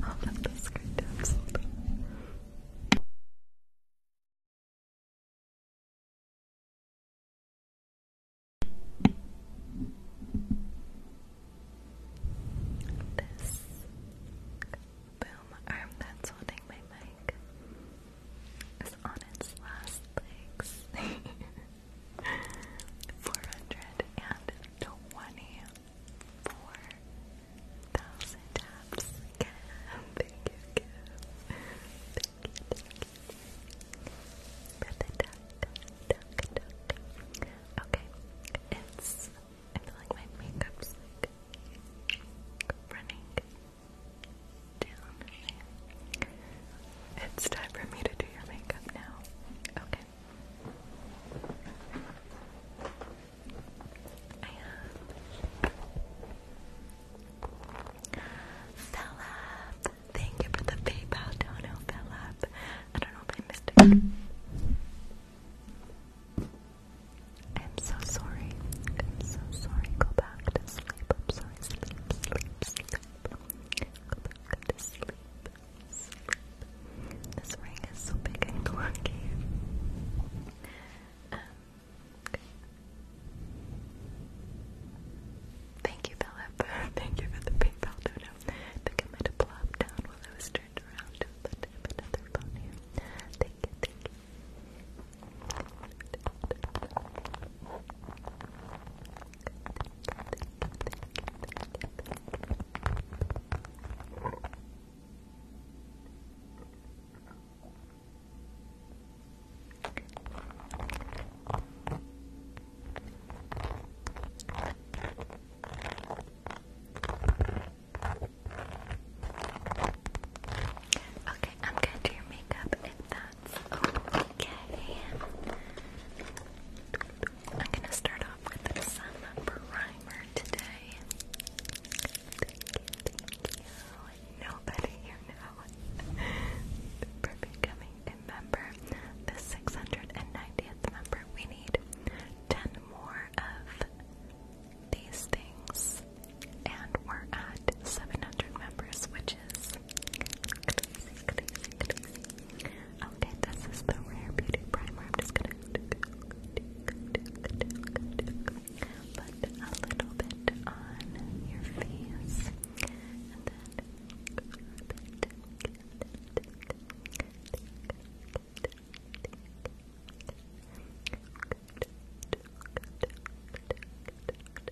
I'll put the screen This boom arm that's holding my mic is on its last legs. [laughs] four hundred and twenty four thousand taps. thank you, Thank you, Okay, it's. I feel like my makeup's like running it's time for me to do your makeup now. Okay. I have Philip. Thank you for the PayPal dono, Philip. I don't know if I missed it. I'm so sorry. I'm so sorry. Go back to sleep. I'm sorry. Sleep, sleep, sleep. Go to sleep. This ring is so big and clunky. Um, thank you, Philip. Thank you for the PayPal dono. I think I might have plopped down while I was turned around to another phone thank you. Okay, I'm gonna do your makeup if that okay. I'm gonna start off with some primer today. Thank you, thank you. For becoming a member, the 690th member, we need 10 more of these things, and we're at 700 members, which swatches. Crazy, crazy, crazy. Okay, this is the Rare Beauty Primer. I'm just gonna put a little bit on your face and then rub it. Good, good, good, good, good, good,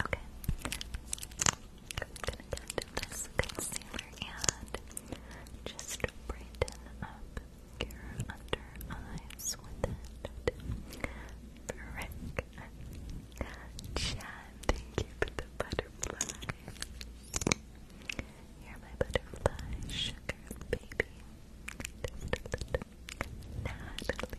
Okay. I'm gonna get this concealer and just brighten up your under eyes with it. Frick. Chad, thank you the butterfly. You're my butterfly, sugar baby. Natalie,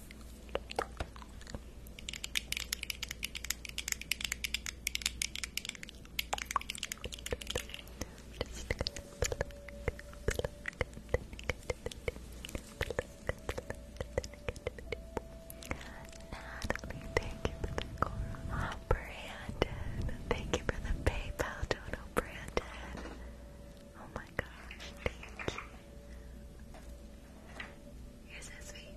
Natalie, thank you for the Cora. Brandon, thank you for the PayPal dono, Brandon. Oh my gosh, thank you. You're so sweet.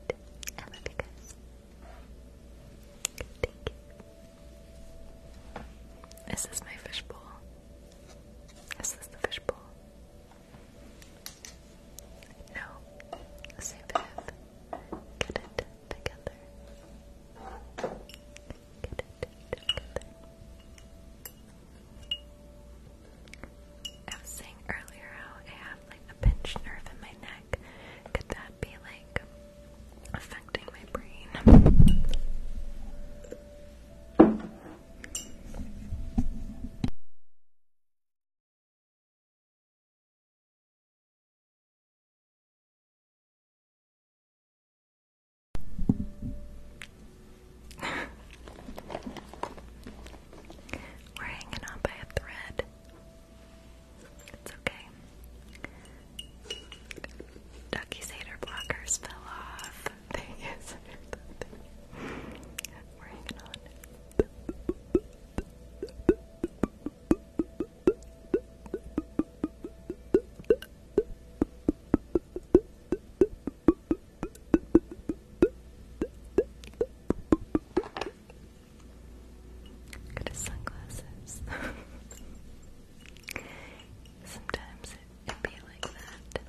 Emma Pickers. Thank you. Is this my fishbowl? Is the fishbowl? No. Save it. Get it together. Get it together. I was saying earlier how I have like a pinched nerve in my neck. Could that be like affecting my brain? [laughs] We're hanging on by a thread. It's okay. Ducky's hater blockers fell off. [laughs] They is We're hanging on. Got his sunglasses. [laughs] Sometimes it can be like that.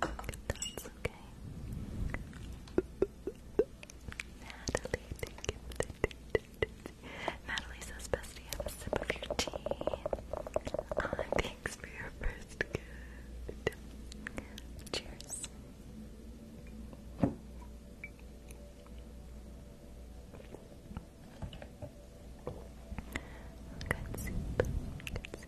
But that's okay. Natalie, thank you. Natalie says, Bestie, have a sip of your tea. Ah, thanks for your first gift. Cheers. Good soup. Good soup. Good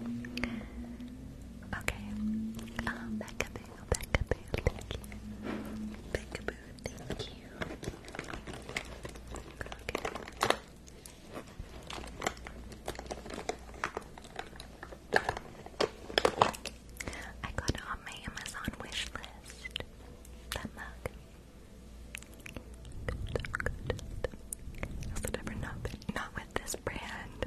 soup. Okay, um, back Peekaboo, thank you. Peekaboo, thank you. I got on my Amazon wish list. That mug. Good, good. not with this brand.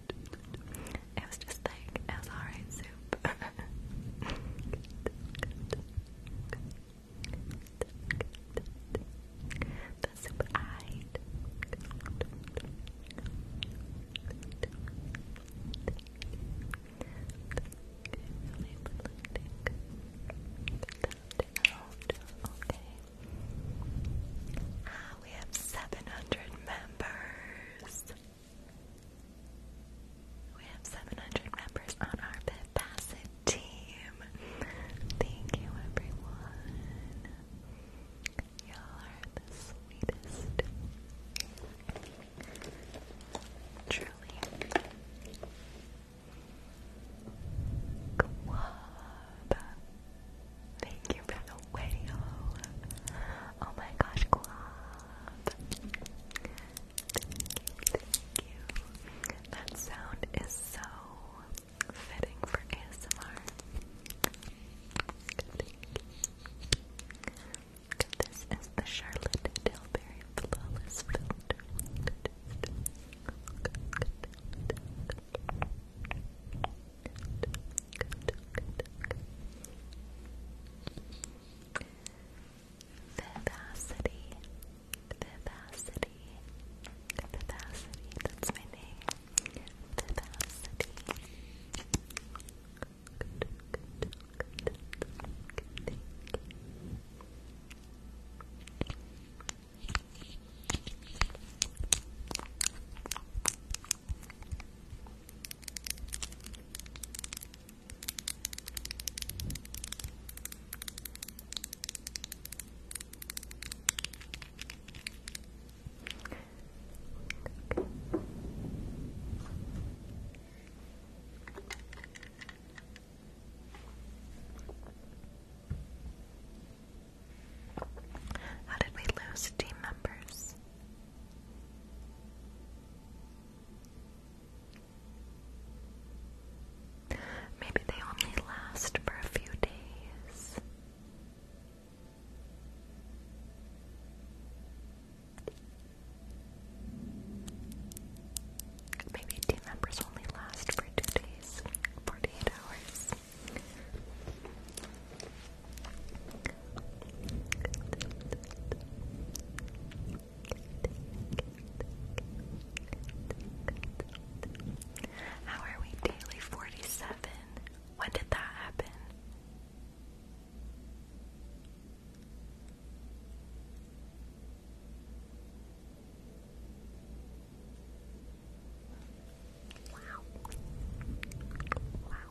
It was just like, it was alright soup. [laughs] the soup I ah, we have seven hundred members. We have 700 members on our Bit team. Thank you, everyone. Y'all are the sweetest. Truly. Guab. Thank you for the video. Oh my gosh, Guab. Thank you, thank you. That sound is so fitting for ASMR. This is the Charlotte Tilbury Flawless Vivacity, Vivacity, Vivacity, that's my name. Vivacity. Good, good, good, good, thank you. How did we lose team members? Maybe they only last for a few days. Maybe team members only last for two days, 48 hours. How are we daily 47? When did that happen? Wow. Wow.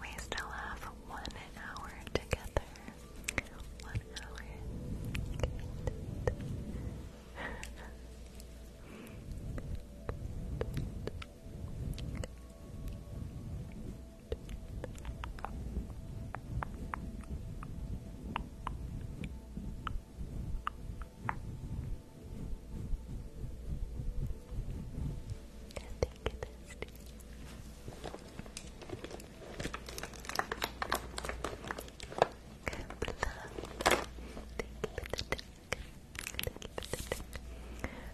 We still have one hour together. One hour. Thank you,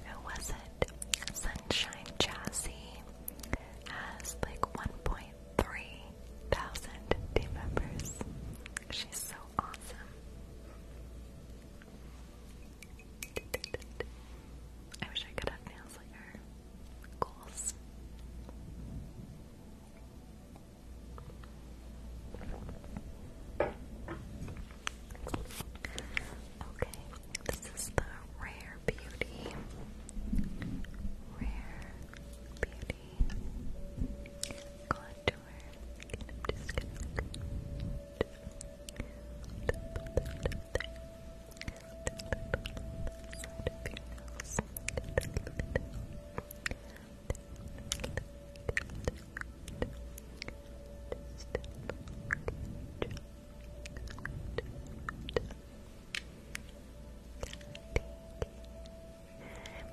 who was it? Sunshine Jazzy has like 1.3 thousand team members. She's so awesome. I wish I could have nails like her. Goals. Okay, this is the Rare Beauty. Rare Beauty Contour.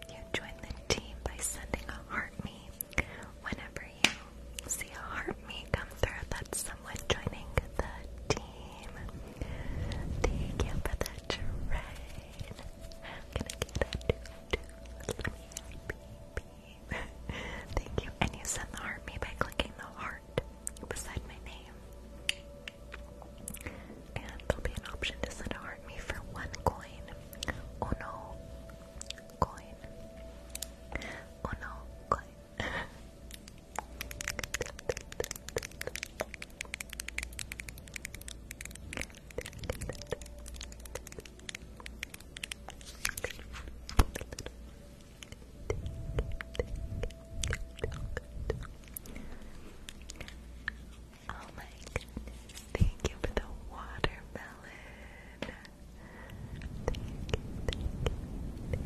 You join the team by sending a heart me whenever you see a heart through. That's someone joining the team. Thank you for the train. gonna get a Thank you. And you sent the heart by clicking the heart beside my name. And there'll be an option to send a heart for one coin. Oh no. Coin. Oh no, coin. Oh my goodness, thank you for the watermelon. thank you.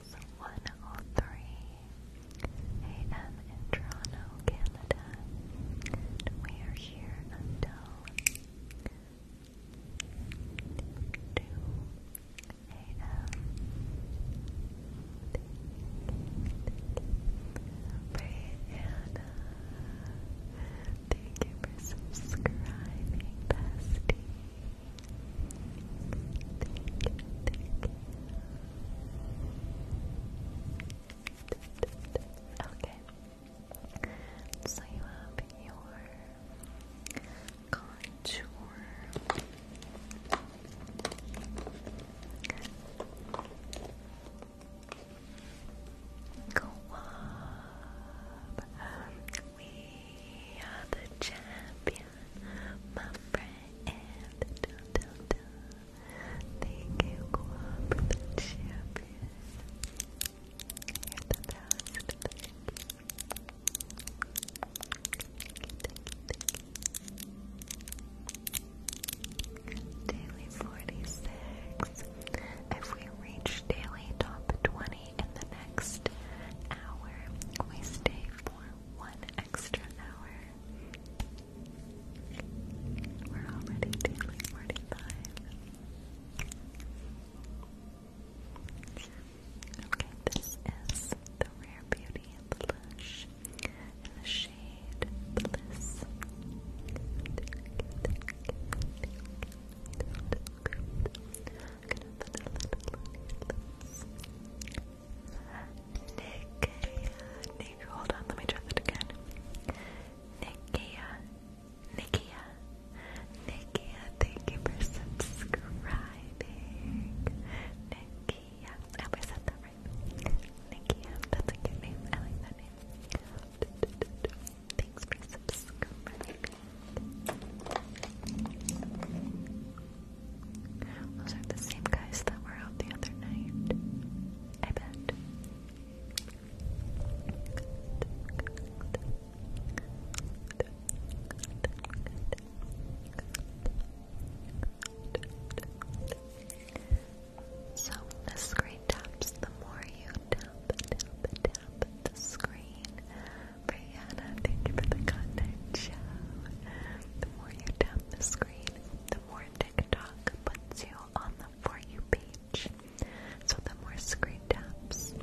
103 AM in Toronto, Canada. we are here until 2 AM. Brianna, thank you for subscribing, Okay. So you have your contour. Go up. Um, we are the champions my friend. Da, da, da. Thank you, Guam, the champion. you the best. Daily 46. If we reach daily top 20, in the next hour. We stay for one extra hour. We're already daily 45. Okay, this is the Rare Beauty and the Lush in the shade Bliss. Nikia, Nikia, hold on, let me try that again. Nikia, Nikia, Nikia, thank you for subscribing. Nikia, I I said that right. Nikia, that's a good name, I like that name. Thanks for subscribing. Those are the same guys that were out the other night. I bet. So the screen taps, the more you tap, the screen, Brianna, thank you for the content The more you tap the screen, the more TikTok puts you on the For You page. So the more screen taps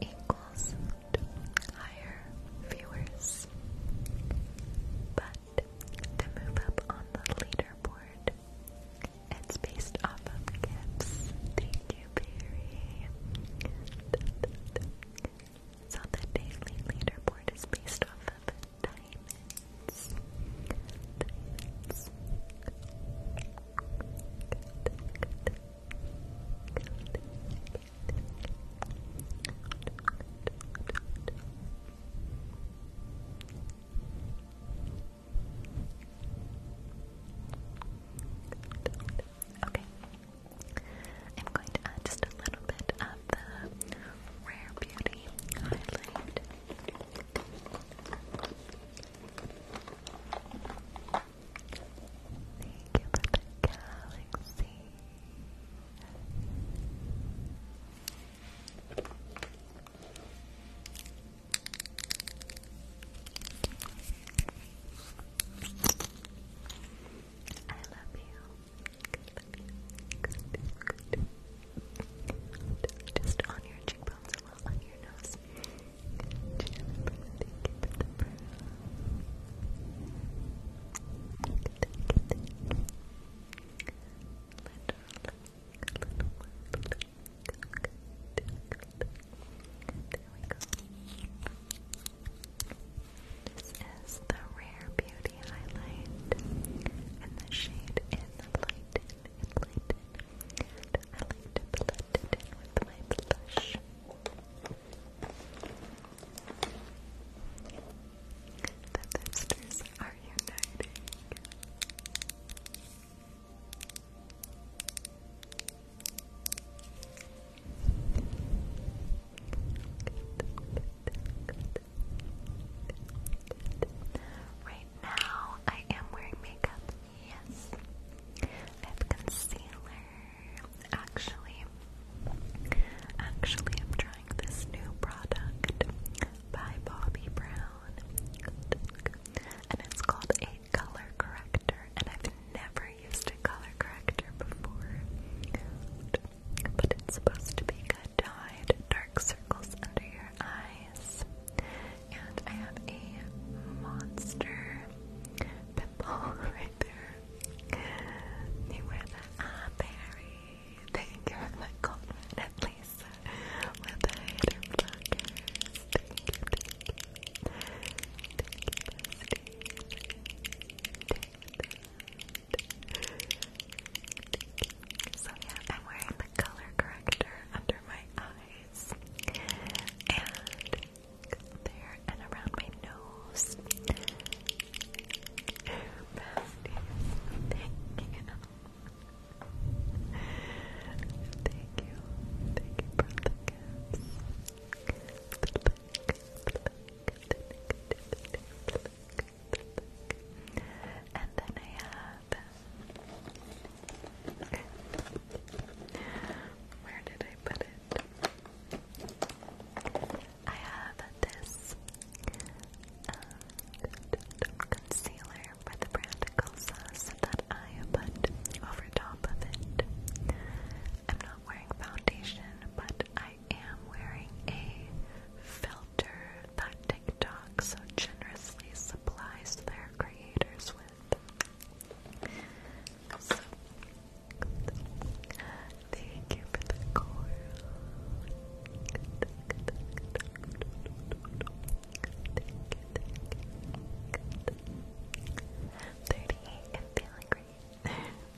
equals higher viewers. But to move up on the leaderboard, it's based off of gifts. Thank you, Barry. So the daily leaderboard is based off of diamonds. Diamonds. Okay, I'm going to add just a little bit of the Rare Beauty highlight. Thank you for galaxy. I love you. Just on your cheekbones a little, on your nose. thank you this is the Rare Beauty highlight, and the shade is Lighten and I like to blend it with my blush. The sisters are uniting. Right now, I am wearing makeup. Yes, I have concealer. Actually, actually, I'm trying this new product by Bobbi Brown, and it's called a color corrector never used a color corrector before, but it's supposed to be good to hide dark circles under your eyes. And I have a monster pimple [laughs] right there. You wear that ah, berry. Thank you for that compliment, at With the hater blockers. So yeah, I'm wearing the color corrector under my eyes and there and around my nose. thank you. Thank you. Thank you for the Thank you. Thank you. And then I have. Where did I put it? I have this um, concealer by the brand Sauce that I put over top of it. I'm not wearing foundation, but I I am wearing a filter that TikTok so generously supplies their creators with. thank you for the coral. Thirty-eight and feeling great. [laughs]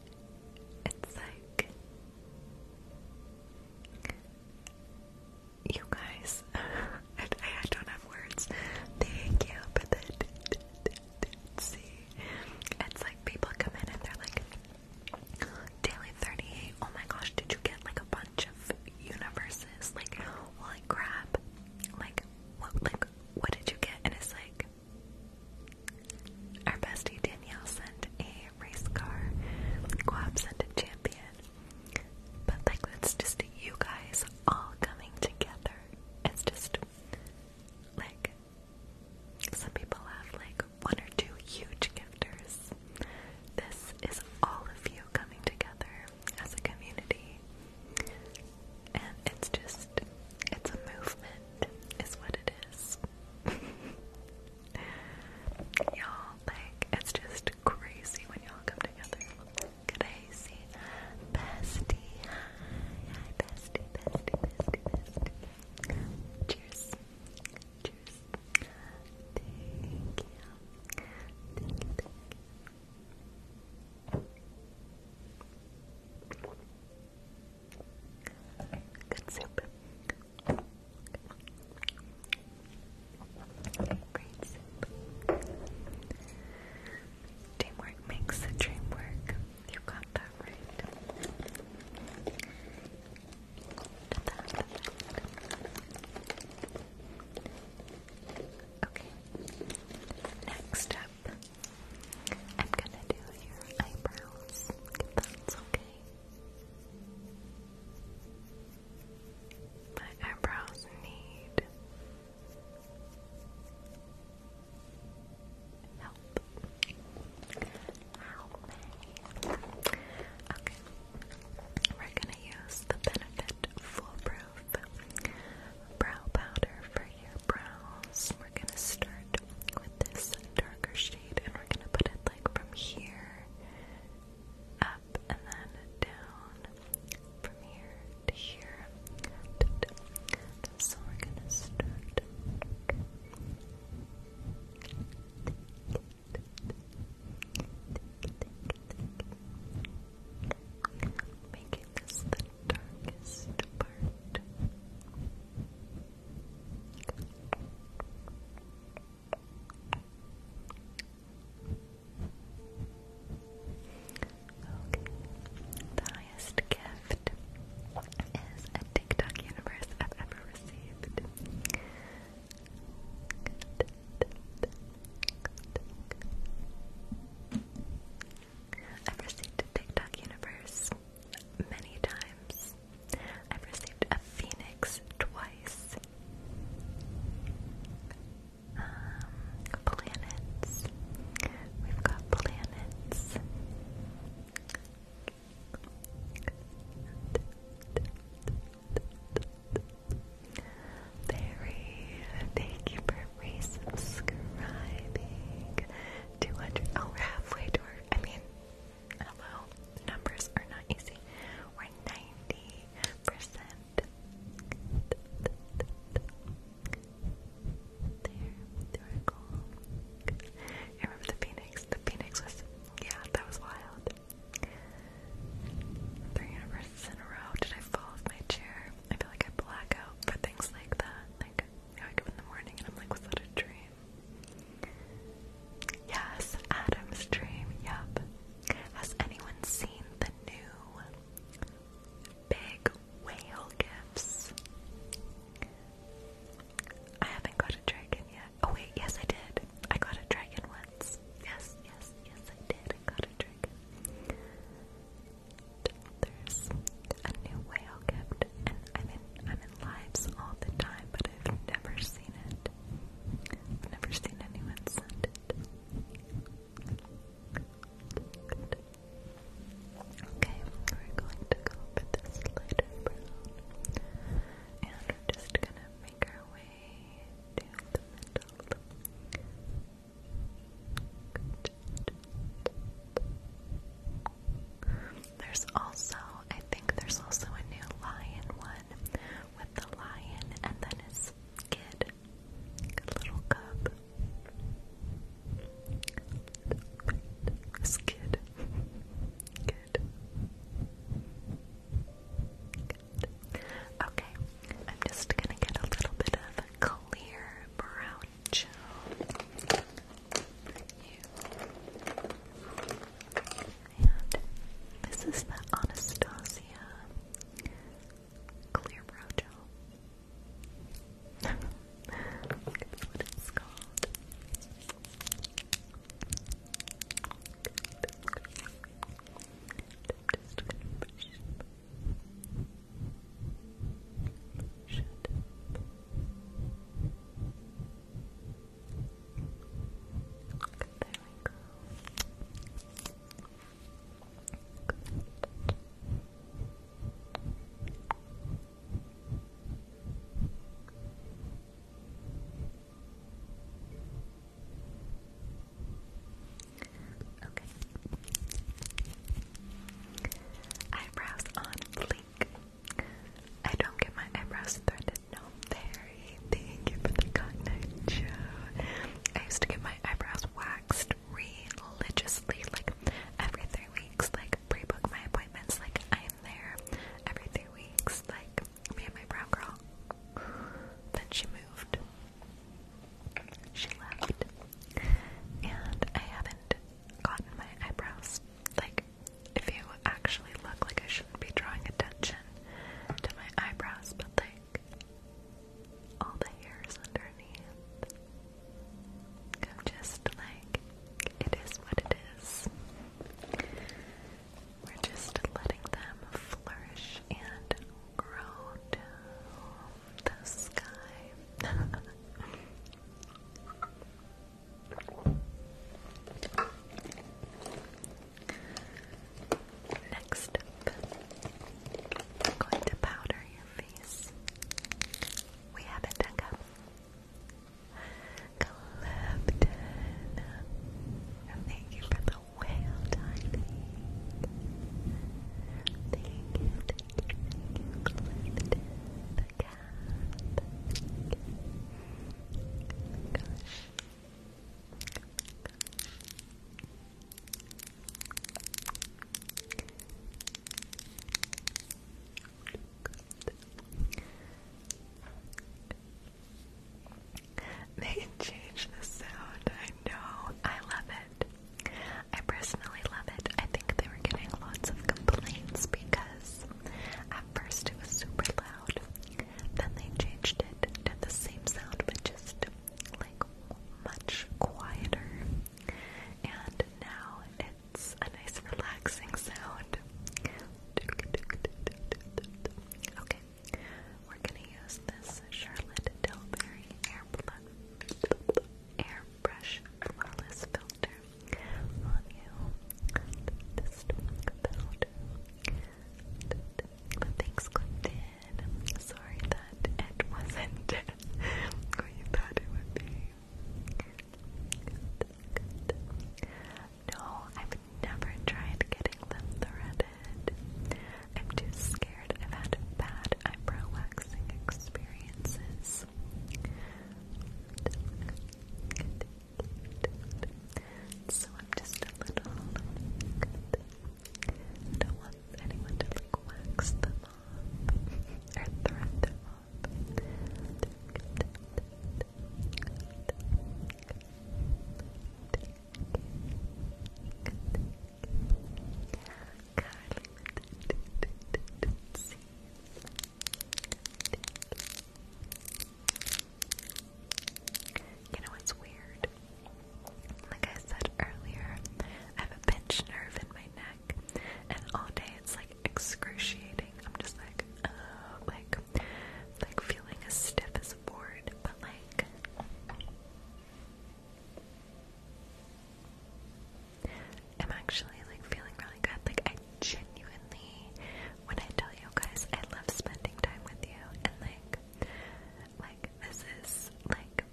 It's like you guys. [laughs] I, don't have words. Thank you for It's like people come in and they're like, daily thirty-eight. Oh my gosh, did you get like a bunch of universes? Like, holy crap! Like, what? Like, what did you get? And it's like, our bestie Danielle sent a race car. Guab sent a champion. But like that's just you guys all coming together. It's just like some people have like one or two huge gifters. This is all of you coming together as a community. And it's just it's a movement, is what it is. [laughs] y'all, like, it's just crazy when y'all come together. Crazy. Bestie. Hi, bestie, bestie, bestie, bestie. Cheers. Cheers. Thank you, thank you. Good soup. Great Teamwork makes the dream work. You got that right. Okay. Next up I'm gonna do your eyebrows, that's okay. My eyebrows need help. Help me. Okay. We're gonna use the Benefit Foolproof Brow Powder for your brows. We're gonna start with this darker shade and we're gonna put it like from here up and then down from here to here. So we're gonna start. Making this the darkest part. The highest gift is a TikTok universe I've ever received. I've received a TikTok universe many times. I've received a phoenix twice. Um, planets. We've got planets. Very, thank you for resubscribing. 200, oh, we're halfway to our, I mean, Hello, numbers are not easy. We're 90%. There, there we go. I remember the Phoenix. The Phoenix was, yeah, that was wild. Three universes in a row. Did I fall off my chair? I feel like I black out for things like that. Like, I wake up in the morning and I'm like, was that a dream? Yes, Adam's dream, yep. Has anyone seen the new big whale gifts? I haven't got a dragon yet. Oh wait, yes I did. I got a dragon once. Yes, yes, yes I did. I got a dragon. There's a new whale gift, and I'm in I'm in lives all the time, but I've never seen it. I've never seen anyone send it. Okay, we're going to go for this lighter and we're just gonna make our way to the middle. There's also, I think there's also a new lion one with the lion and then his kid, little cub. His kid. Okay, I'm just gonna get a little bit of clear brown gel you. this is the Anastasia Clear Brow Gel. Look what it's called. There we go. Good. Okay. Eyebrows on fleek. I don't get my eyebrows threaded. No, Barry, thank you for the cotton Joe. I used to get my eyebrows waxed religiously, like every three weeks. Like pre-book my appointments. Like I am there every three weeks. Like me and my brow girl. Then she moved. She left, and I haven't gotten my eyebrows like if you actually look like I shouldn't be drawing attention to my eyebrows, but like all the hairs underneath. I'm just like, it is what it is. We're just letting them flourish and grow to the sky. [laughs] Next I'm going to powder your face. We have it done up. Clifton, thank you for the whale diving. Thank you, fantastic. Oh They change the sound, I know. I love it. I personally love it. I think they were getting lots of complaints because at first it was super loud, then they changed it to the same sound but just like much quieter. And now it's a nice relaxing sound. Okay, we're gonna use this Charlotte Tilbury Airbrush Flawless powder on you. Just powder. But thanks, Clinton. Sorry that it wasn't [laughs] what thought it would be. No, I've never tried getting them threaded. I'm too scared. I've had bad eyebrow waxing experiences. So I'm just a little. don't want anyone to like wax them or thread them you know what's weird? Like I said earlier, I have a pinched nerve in my neck, and all day it's like excruciating. I'm just like, like, like feeling as stiff as a board, but like. I'm actually like feeling really good. Like I genuinely, when I tell you guys, I love spending time with you, and like, like this is like,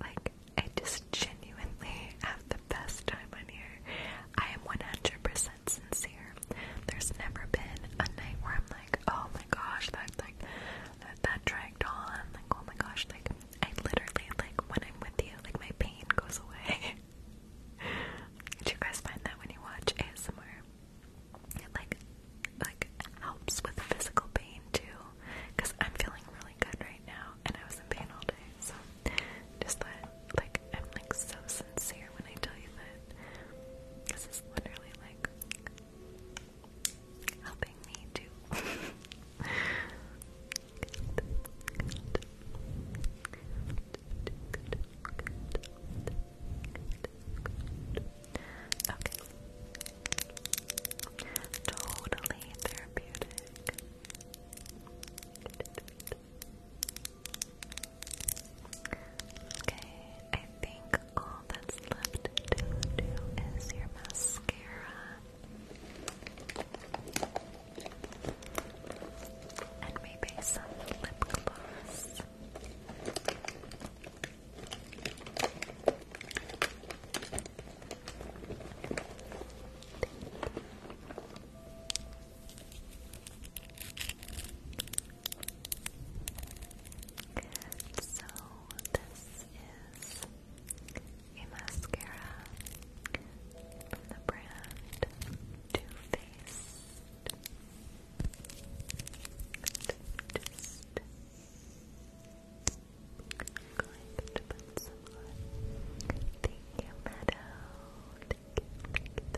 like I just genuinely have the best time on here. I am one hundred percent sincere. There's never been a night where I'm like, oh my gosh, that like that, that dragged on. Like, oh my gosh, like I literally like when I'm with you, like my pain goes away. [laughs] Do you guys find that when you watch ASMR, it like like helps with physical pain too? Because I'm feeling really good right now, and I was in pain all day, so just that like I'm like so sincere when I tell you that this is literally like helping me too. [laughs] Okay. Totally therapeutic. Okay, I think all that's left to do is your mascara. And maybe some lip gloss. So, this is a mascara from the brand Too Faced. just going to put some on. Thank you, you, thank you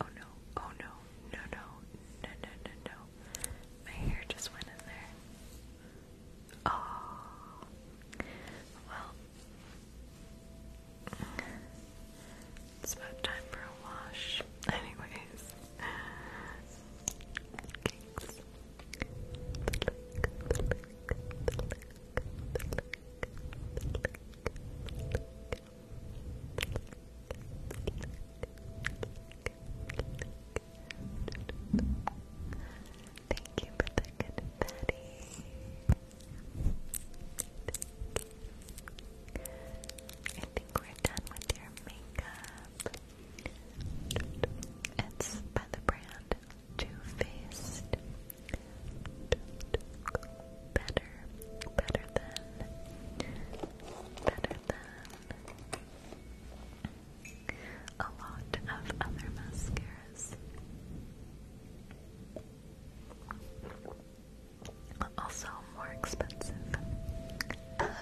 Oh no, oh no, no, no, no, no, no, no. My hair just went in there. Oh, well, it's about time for a wash. Anyways, Cakes. Thank you for the good Betty. I think we're done with your makeup. It's by the brand too-Faced Better Better than Better than a lot of other mascaras also more expensive. [laughs]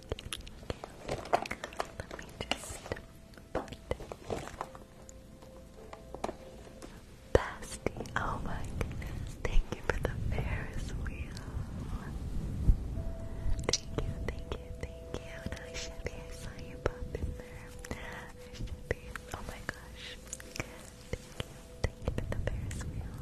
Let me just oh my goodness, thank you for the Ferris wheel. Thank you, thank you, thank you. I should be, saw you pop in there. I should be, oh my gosh. Thank you, thank you for the Ferris wheel.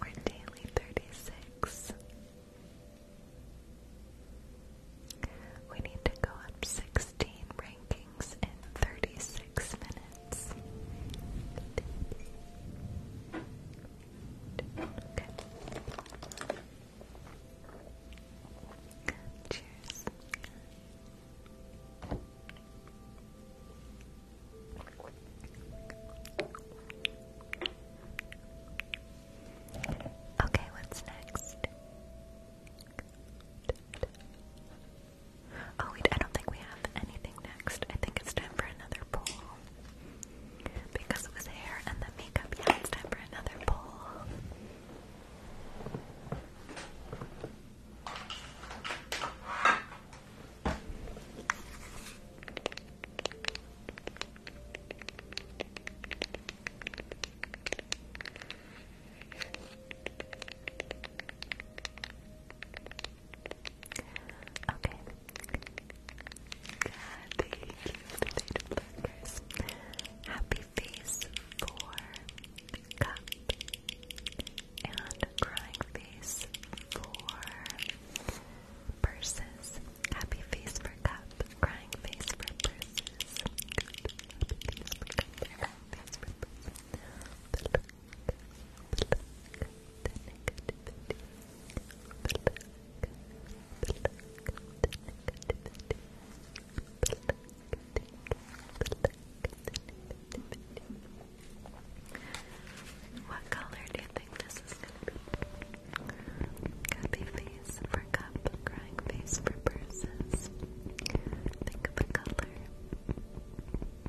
We're daily thirty six. We need to go up sixteen rankings in thirty six minutes minutes. Okay. Cheers. Okay, what's next? Oh, wait, I don't think we have anything next. I think it's time for another poll. Because it was hair and the makeup, yeah, it's time for another poll. Okay. Thank you, potato buggers. Happy face for cup. And crying face for purses. Happy face for cup. Crying face for purses. What color do you think this is gonna be? Copy face for cup, crying face for purses. Think of a color.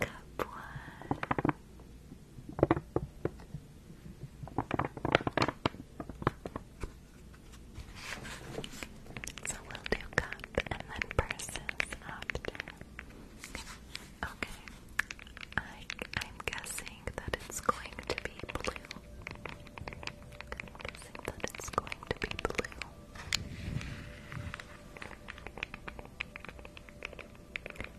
Cup one. So we'll do cup and then purses after. Okay. I'm guessing guessing that it's going to be blue. i that it's going to be blue.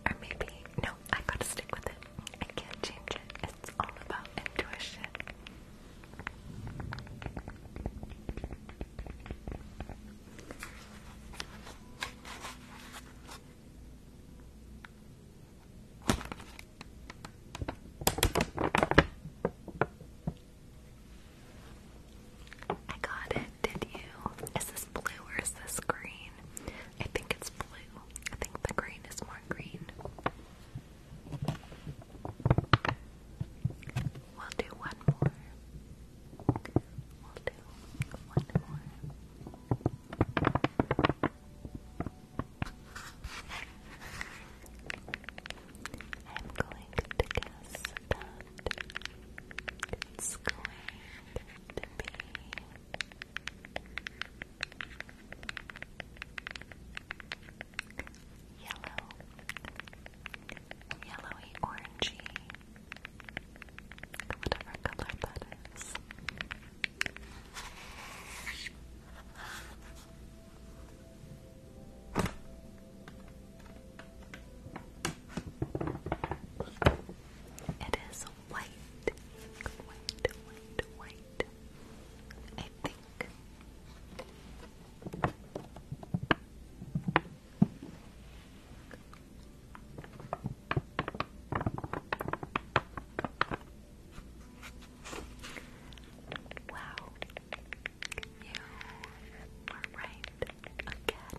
Or maybe, no, I gotta stick with it. I can't change it. It's all about intuition. I got it, did you? Is this blue or is this green? I think it's blue. I think the green is more green. We'll do one more. We'll do one more. I'm going to guess that it's going to be yellow, yellowy, orangey, whatever color that is. It is white, white, white, white. I think. Wow. You were right again.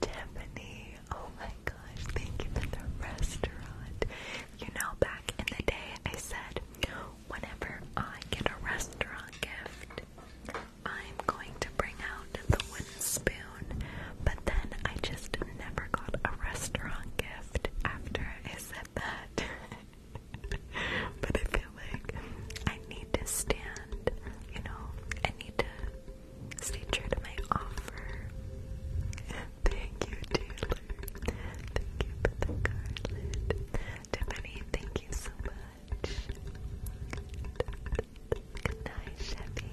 Tiffany, oh my gosh, thank you for the restaurant. You know, back in the day, I said, whenever I get a restaurant gift, I'm going to bring out the wooden spoon, but then I just never got a restaurant gift after I said that. [laughs] but I feel like I need to stand, you know, I need to stay true to my offer. [laughs] thank you, Taylor. Thank you for the garland. Tiffany, thank you so much. Good night, Chevy.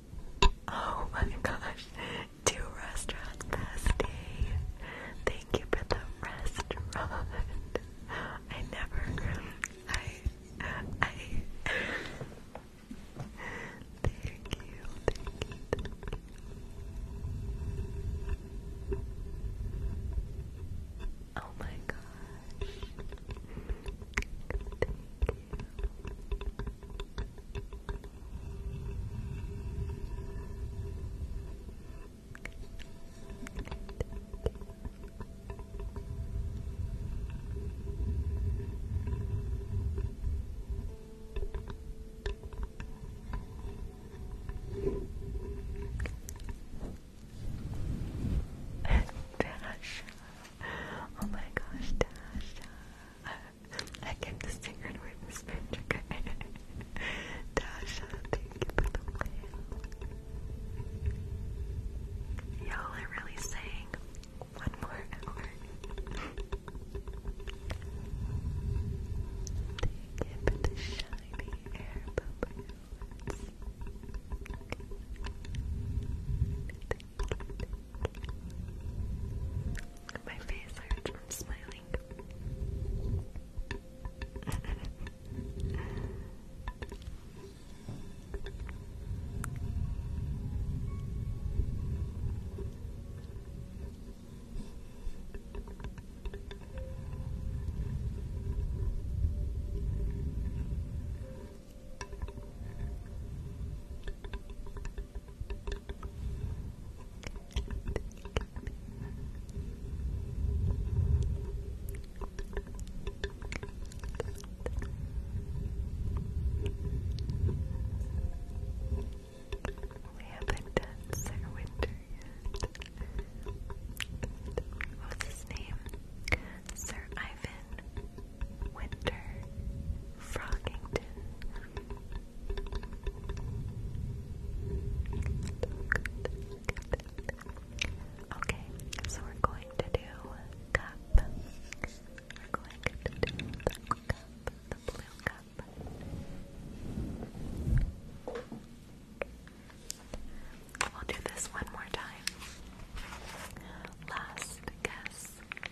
Oh my gosh, two restaurants bestie. Thank you for the restaurant. I never, I, I. Thank you, thank you. Oh my gosh. Dasha. Oh my gosh, Dasha. I can distinguish with this picture. Dasha, [laughs] thank you for the plan. Y'all are really saying one more hour. [laughs] Thank you for the shiny air bubbles. My face hurts from smiling. [laughs] We haven't done Sir Winter yet. What his name? Sir Ivan. Winter Froggington. Okay, so we're going to do cup. We're going to do the cup, the blue cup. We'll do this one more time. Last guess.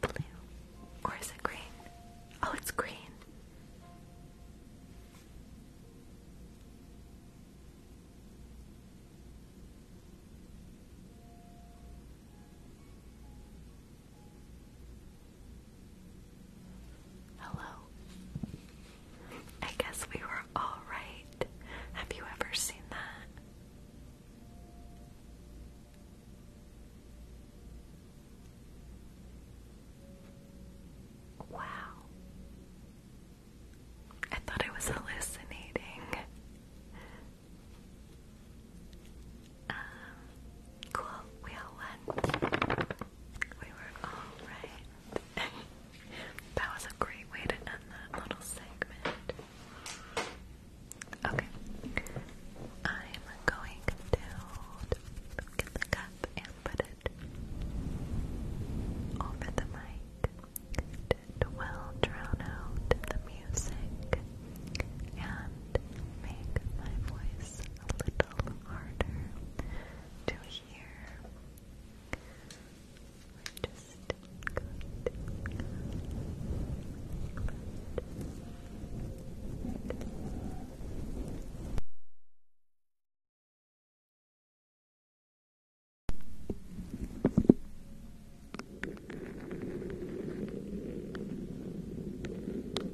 Blue. Or is it green? Oh, it's green. Hello. I guess we were all right. Have you ever seen that? Wow. I thought I was hallucinating. Um, cool, we all won. We were all right. [laughs] that was a great way to end that little segment. Okay, I'm going to get the cup and put it over the mic to well drown out the music and make my voice a little harder to hear. We're just Good.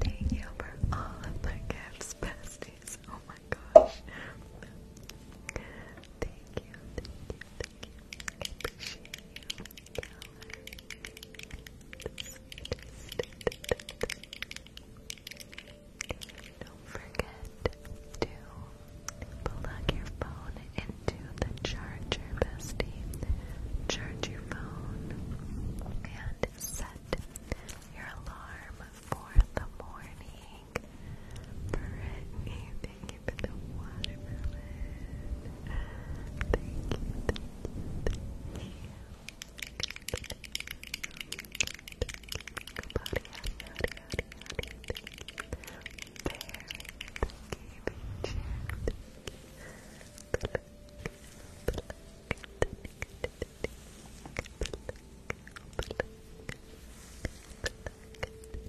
Thank you for all of the gifts, besties. Oh my gosh. thank you, thank you. I you. Don't forget to plug your phone into the charger, bestie. Charge your phone and set your alarm for the morning. Brittany, thank you the watermelon. Thank you, thank you, thank you. Body, body, body, body, thank you. thank you, Thank you.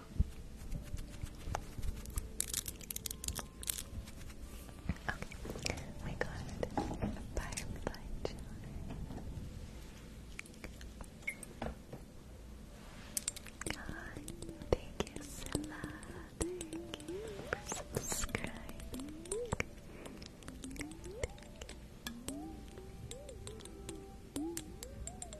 Okay, we oh got Firefly John. God, thank you, so much for subscribing.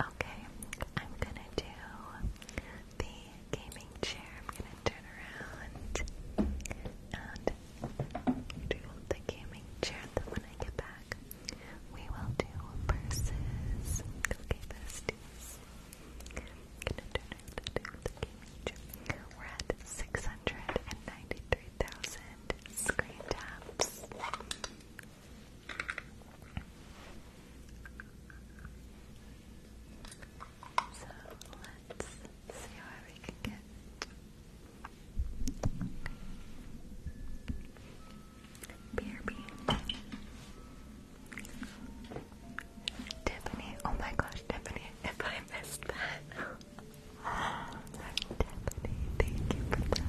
Okay, I'm gonna do the gaming chair. I'm gonna turn around and do the gaming chair. Then when I get back, we will do purses. Okay, besties. gonna do the gaming chair. We're at 693,000 screen taps. So let's see where we can get. BRB. Tiffany, oh my gosh, Tiffany, if I missed that. [laughs] Tiffany, thank you for that.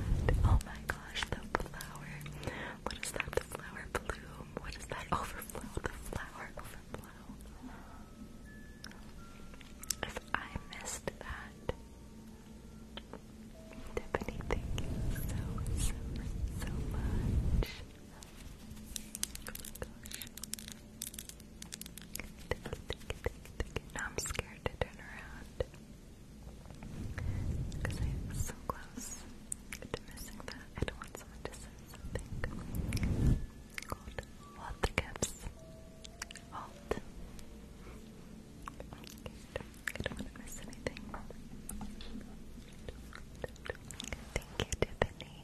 Oh my gosh, the flower. What is that? The flower blue bloom. Um, what is that? Overflow. The flower If I missed that, Tiffany, thank you so, so, so much. Oh now I'm scared to turn around. Because I am so close. I don't want someone to say something. What the gifts? Halt. I don't want to miss anything. Thank you, Tiffany.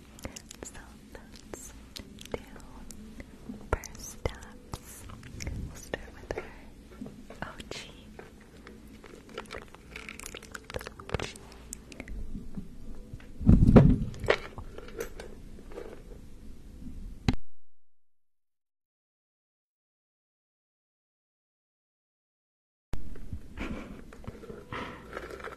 So let's do first steps. We'll start with her OG. [laughs]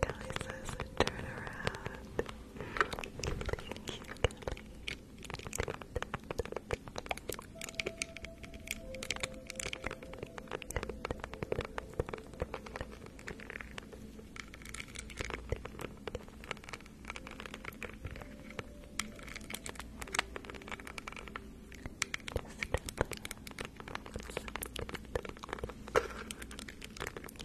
Kelly says a turnaround. Thank you,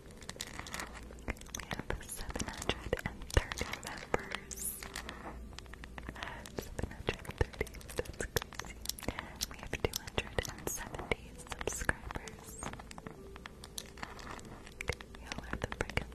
We have 730 members. 730, that's crazy. We have 270 subscribers. Y'all are the freaking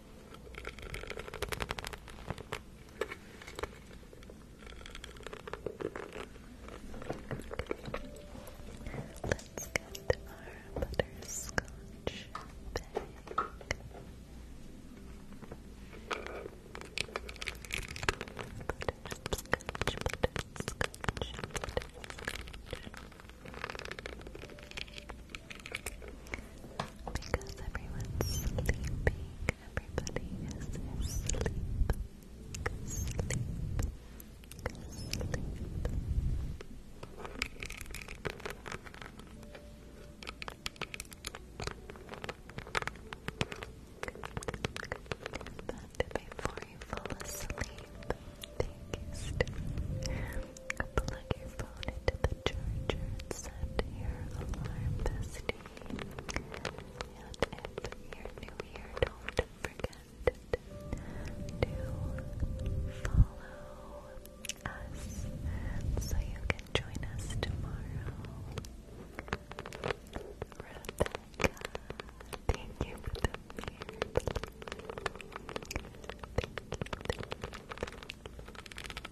Let's get our butterscotch Butterscotch, butterscotch, butterscotch. Because everyone's sleeping, everybody is asleep. But before you fall asleep, take Plug your phone into the charger and set your alarm And if you're new here, don't forget to follow us so you can join us tomorrow. Rebecca, thank you for the beard. thank you.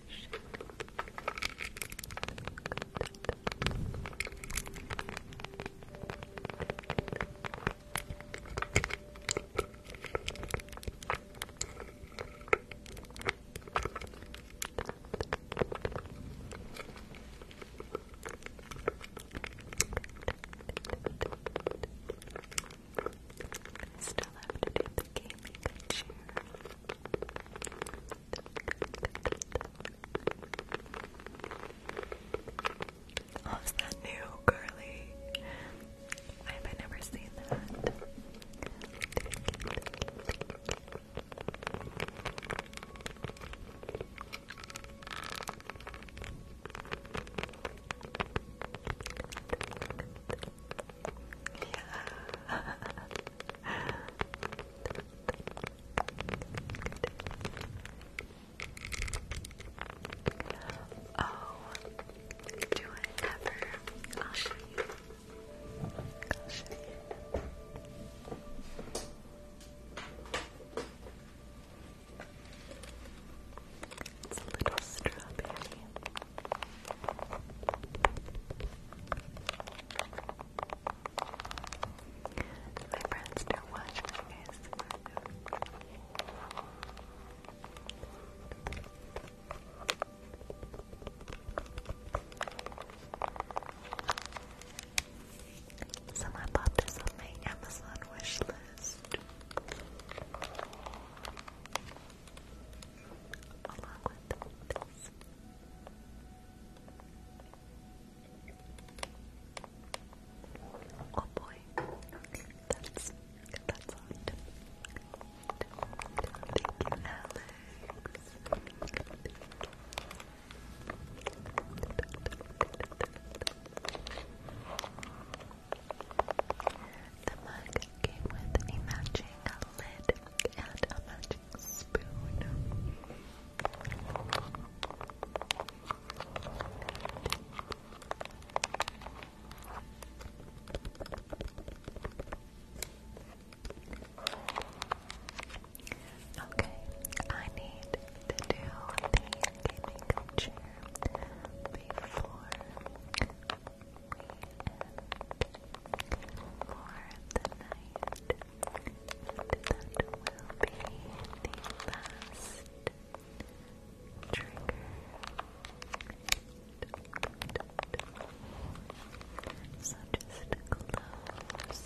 I still have to do the gaming chair. Oh, is that new, girly? I have never seen that. Yeah. [laughs] oh, do I ever? I'll show you. I'll show you. It's a little strawberry. My friends don't watch my ASMR. bought this on my Amazon wish list. Along with this. Oh boy, that's that's hot. Thank you, Alex. The mug came with a matching lid and a matching plastic spoon. Okay, I need to do the gaming chair before the night be the last trigger. So just close your eyes.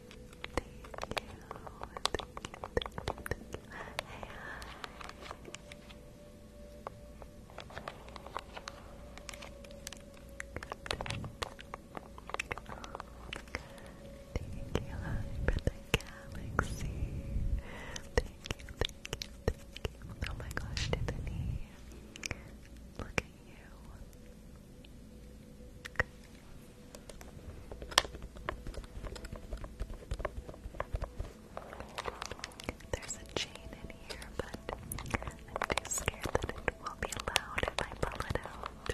thank you. Oh my gosh, Tiffany. Look at you. There's a chain in here, but I'm too scared that it will be loud if I pull it out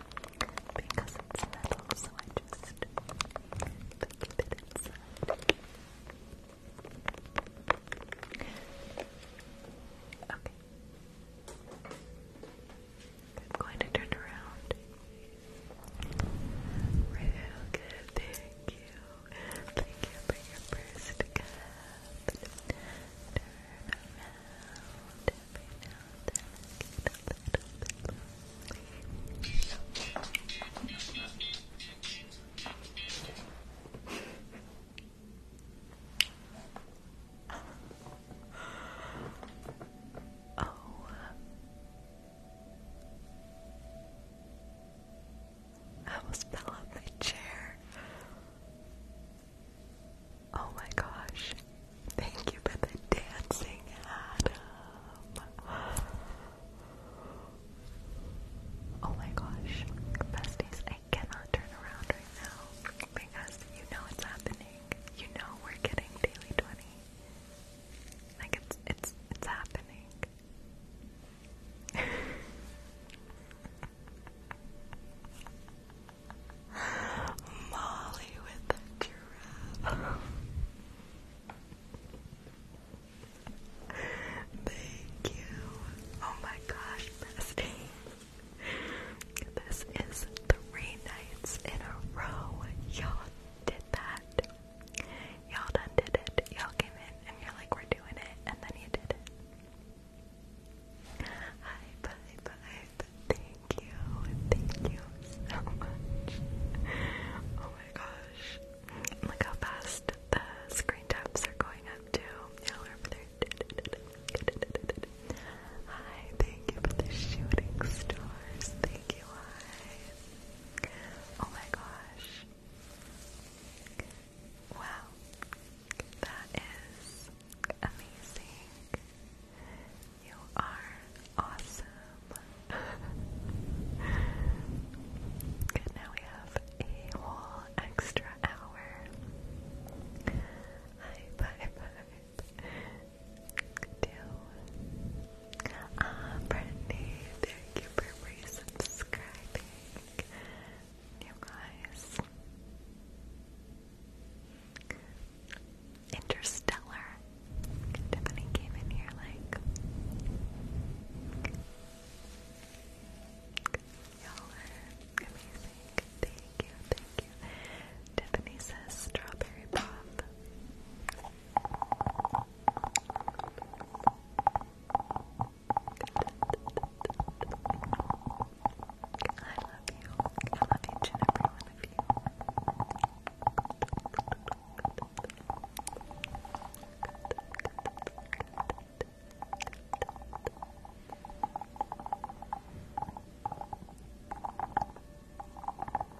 because it's metal, so I just keep it inside. Okay. I'm going to turn around. Real good, thank you. Thank you for your first Turn around every now oh. I almost fell my chair. Oh my gosh. Thank you for the dancing, Adam. Oh my gosh. Besties, I cannot turn around right now because you know it's happening. You know we're getting daily 20. Like it's it's it's happening. [laughs] Molly with the giraffe. Thank you. Oh my gosh, bestie. This is three nights in a row, y'all did that. Y'all done did it. Y'all came in and you're like, we're doing it, and then you did it. Hi, bye, bye. Thank you. Thank you so much. Oh my gosh. Look how fast the screen taps are going up too. Y'all over there. Hi, thank you for the shooting stars. Thank you. Oh my gosh. Wow. That is amazing. You are awesome. Good, [laughs] now we have a whole extra hour. bye, bye do. Ah, Brittany, thank you for resubscribing, you guys. Interstellar. Tiffany came in here like, y'all are amazing. Thank you, thank you. Tiffany says strawberry pop. I love you. I love each and every one of you. Good. Good. Good.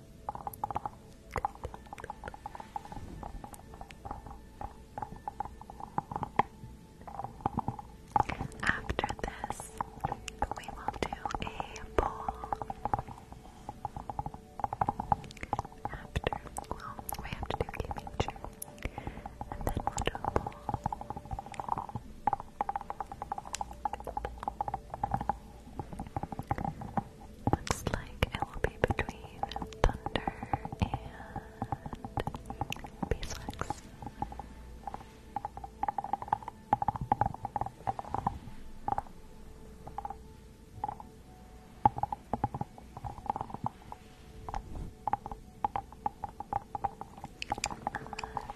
After this, we will do a poll. After, we have to do game nature, and then we'll do a poll. Looks like it will be between thunder and beeswax. Uh,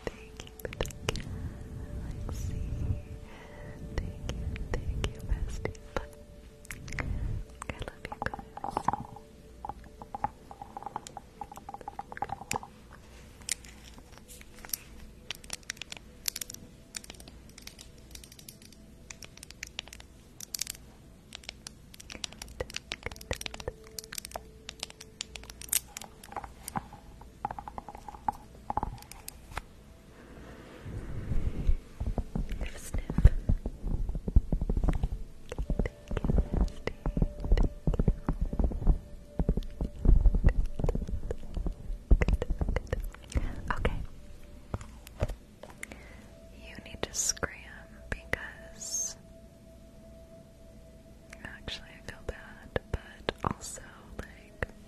thank you, Thank you, thank you, bestie. Bye. I love you guys. Give a sniff. Thank you, Misty. Thank you. Okay. You need to scram because actually I feel bad, but also like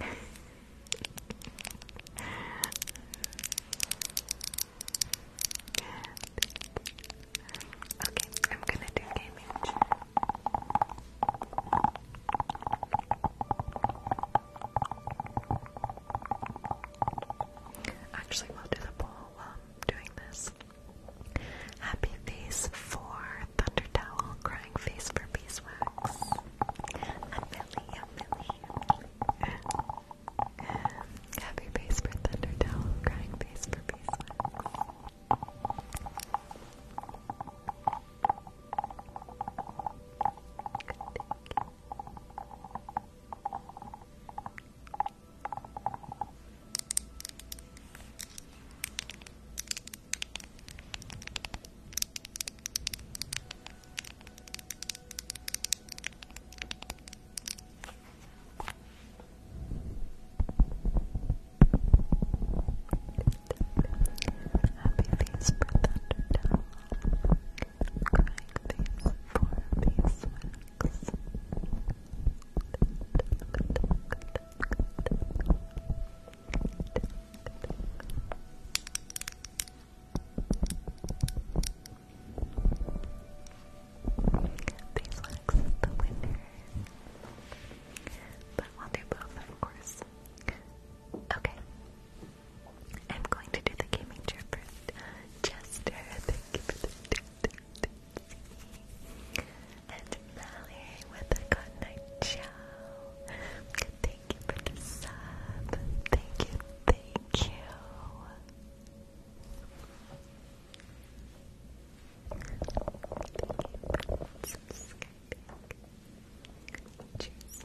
okay, I'm gonna do gaming chair. Actually, we'll do the poll while I'm doing this. Happy face for Thunder Towel, crying face for beeswax. And Millie, yeah, Millie. Happy face for thunder crying face for beeswax. Good, face for Thunderdome. Crying face for beeswax. Good, Beeswax the winner. But we'll do both, of course. Okay. I'm going to do the gaming chair first. Chester, uh, thank you [laughs] and Mallory with a good night ciao. Thank you for the sub. Thank you, thank you. Thank you for subscribing. Cheers.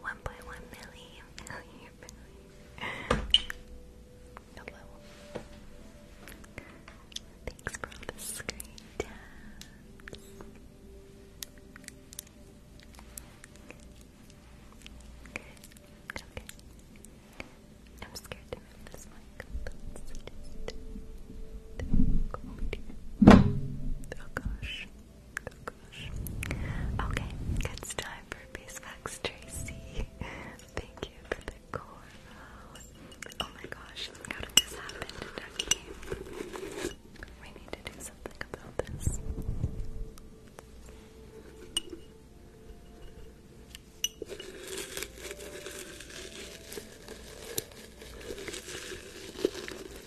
One point one million, [laughs] million, million. Hello. Thanks for all the screen Okay. Okay. I'm scared to move this mic. Oh gosh. Oh gosh. Okay, it's time for Beeswax Tracy. Thank you for the coral. Oh my gosh, look how this happen to Ducky? We need to do something about this.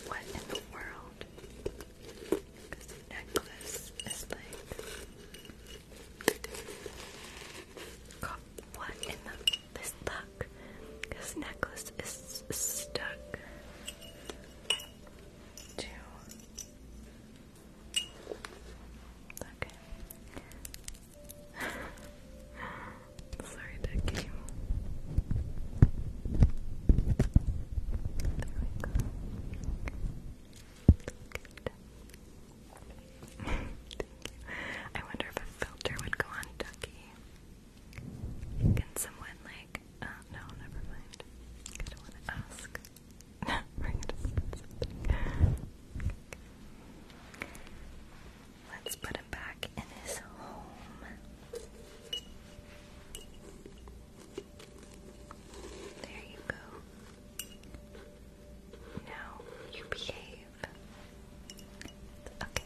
What in the world? Because necklace is like what in the this luck? This necklace is stuck Okay. [laughs] Sorry, that game. I wonder if a filter would go on Ducky. Can someone like? Uh, no, never mind. I don't want to ask. [laughs] Let's put him back in his home. There you go. Now you behave. Okay.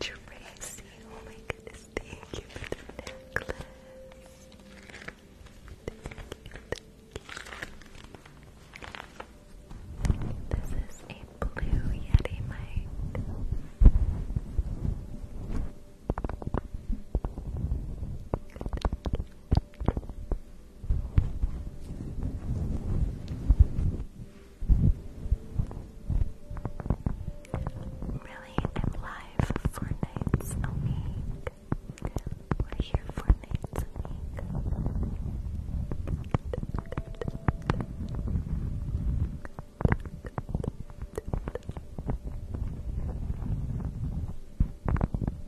Tracy, oh my goodness, thank you for the necklace. This is a blue Yeti mic. thank you. Really, I'm live four nights a oh, We're here four nights a oh,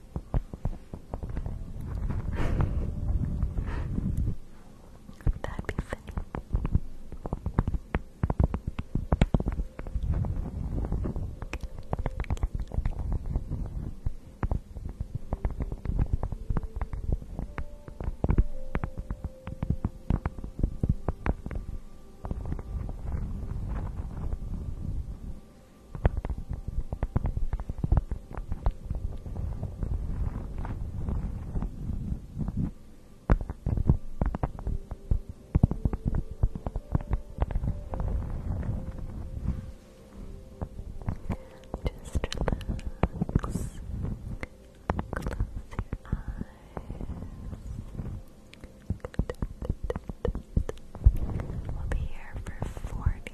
That'd be funny. Just relax. Close your eyes. We'll be here for forty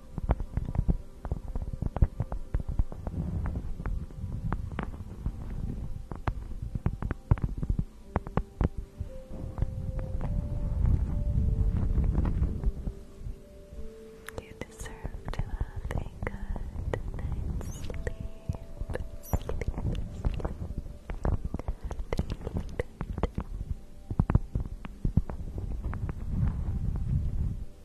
You deserve to have a good night's sleep.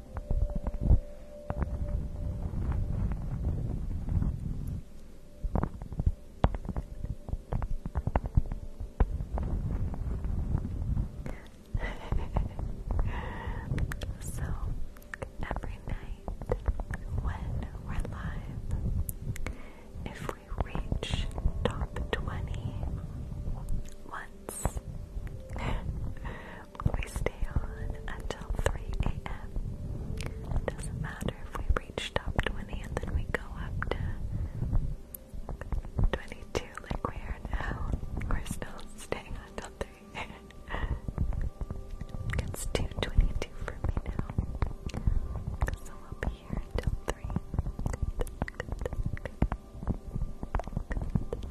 [laughs] so every night when we're live, if we reach top 20 once, [laughs] we stay on until 3 a.m. Doesn't matter if we reach 20 and then we go up to 22 like we are now. We're still staying until 3 It's 2.22 for me now. So we'll be here until 3.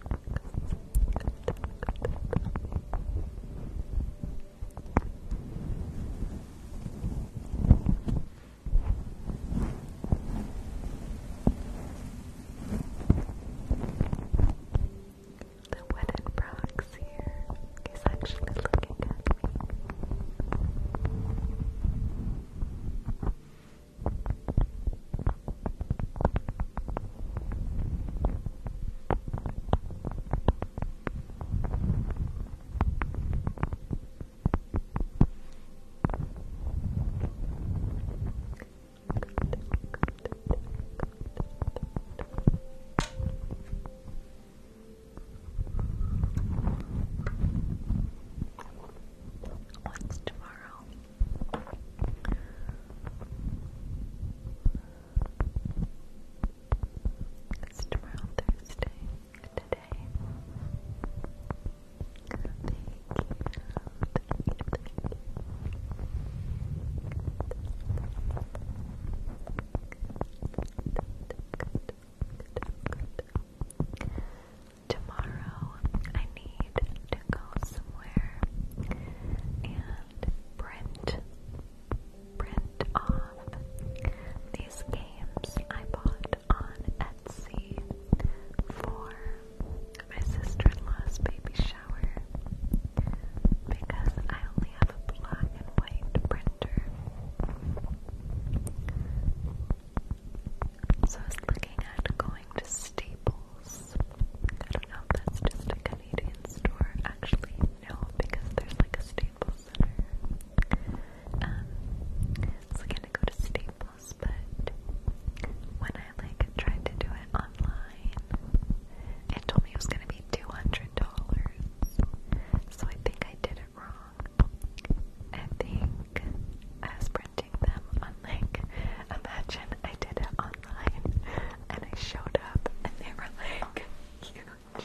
The wooden frog's here is actually looking at me. What's tomorrow? It's tomorrow, Thursday, today. Thank you, thank you, thank you. Tomorrow, I need to go somewhere and Print, print off these games I bought on Etsy for my sister-in-law's baby shower because I only have a black and white printer. So I was looking at going to Staples Stores. I don't know if that's just a Canadian store. Actually, no, because there's like a Staples Center. Um, so I'm gonna go to Staples, but when I like tried to do it online, it told me it was gonna be two hundred dollars. So I think I did it wrong. I think I was printing them on like, [laughs] imagine I did it on and I showed up and they were like huge.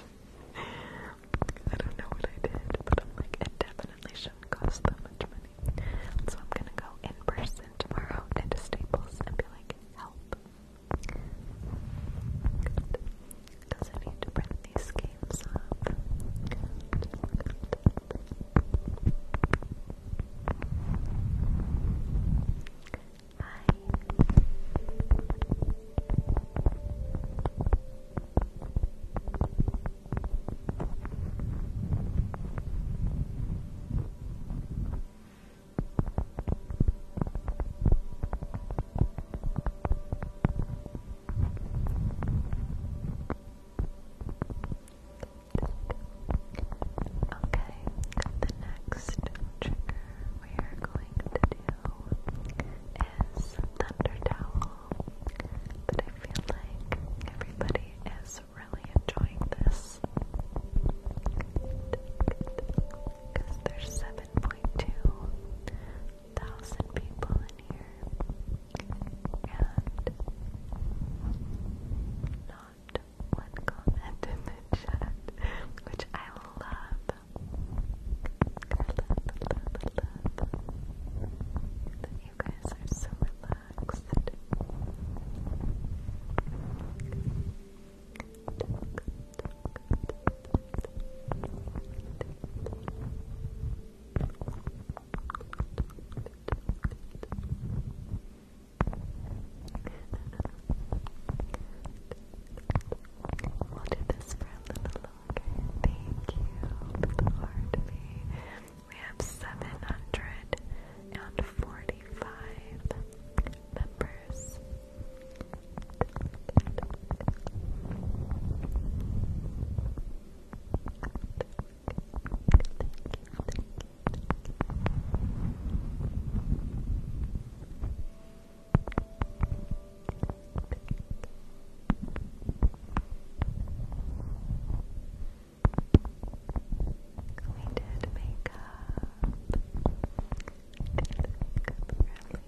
I don't know what I did, but I'm like, it definitely shouldn't cost that much money. So I'm gonna go in person tomorrow into Staples and be like, help. Does it need to print Okay, the next trigger we are going to do is Thunder Towel. But I feel like everybody is really enjoying this. Because there's 7.2 thousand people in here. And not one comment in the which I love. you guys are so relaxed. We'll do this for a little longer. Thank you for the heart We have 745 members. thank you. We did makeup. Did makeup earlier. Good.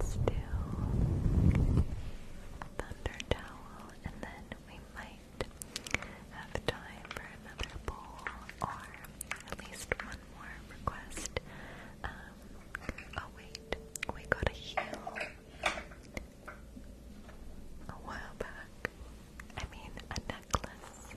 still. Thunder towel, and then we might have time for another bowl, or at least one more request. Um, oh wait, we got a heal a while back. I mean, a necklace.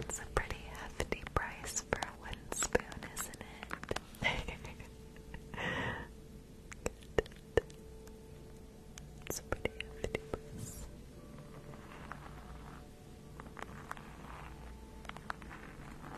It's a pretty hefty price for a wooden spoon, isn't it? it's a pretty hefty price.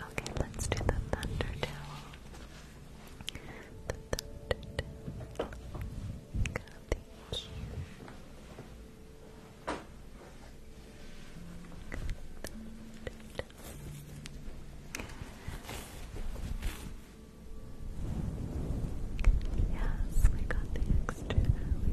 Okay, let's do the thunder towel. The thunder towel. God, thank you. Yes, we got the extra hour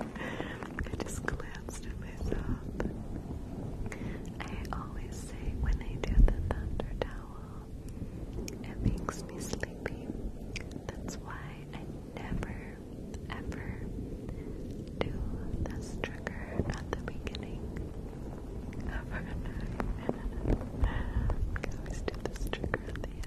I just glanced at myself. I always say when I do the thunder towel, it makes me sleepy. That's why I never, ever do this trigger at the beginning of our [laughs] I always do this trigger at the end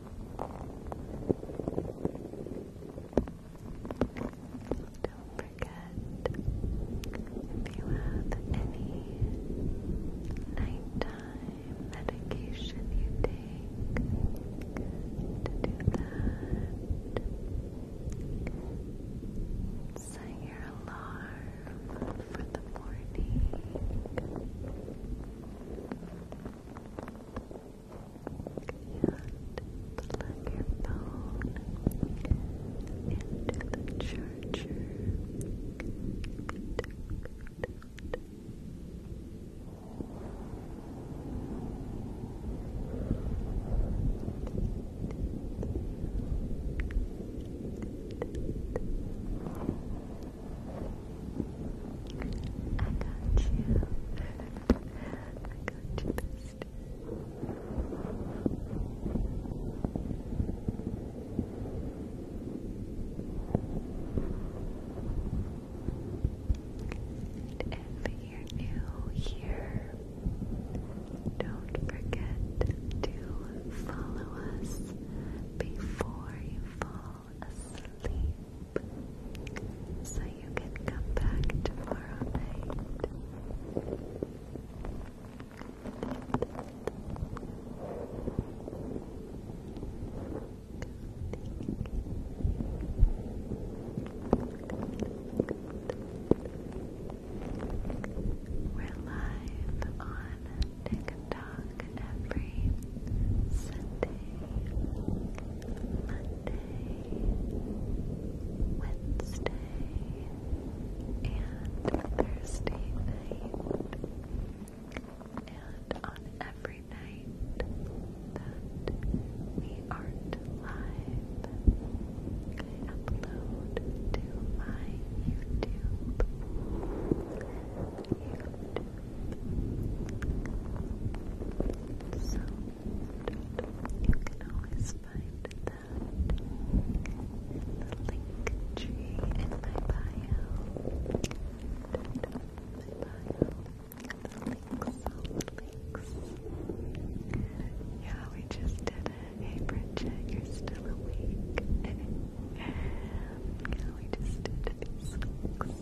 Don't forget if you have any nighttime medication you take to do that. Set your alarm for the morning plug your phone into the charger. Thank you. I got you. I got you, bestie. if you're new here, don't forget to follow us before you fall sleep, so you can come back tomorrow night. We're live on TikTok every Sunday, Monday, Wednesday, and Thursday night. And on every night that we aren't live, I upload to my YouTube. So you can always find that link tree in my bio. My bio. The links, all the links. Yeah, we just did it. Hey Bridget, you're still awake. [laughs] yeah, we just did these links.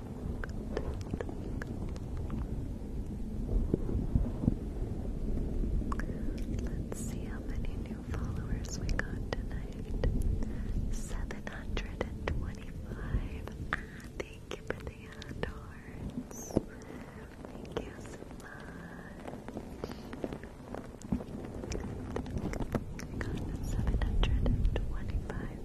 Let's see how many new followers we got tonight. 725. Ah, thank you for the hearts. Thank you so much. I got 725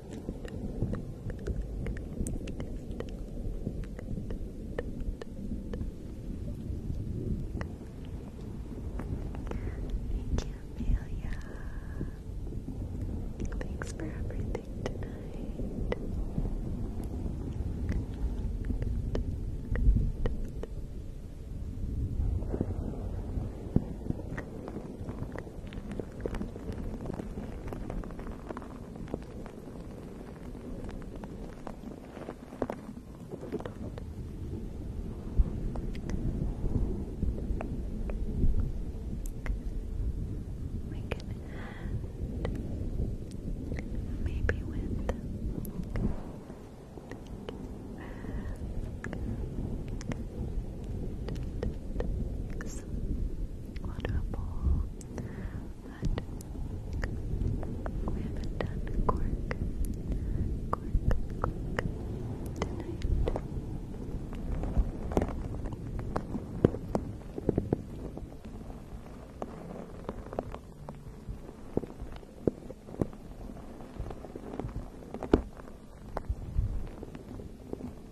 Thank Thanks for everything tonight. We can maybe with wonderful but we haven't done cork, tonight.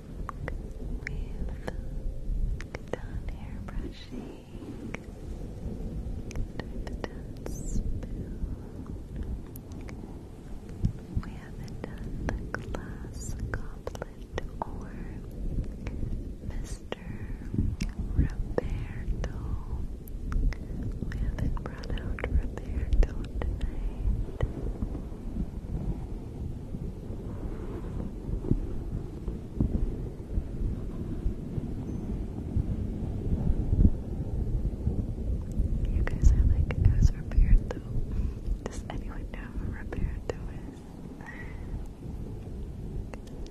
We've done hair brushing. We've done We haven't done the glass goblet or Mr. Roberto. We haven't brought out Roberto tonight. You guys are like, who's repaired though? Does anyone know who repaired though is?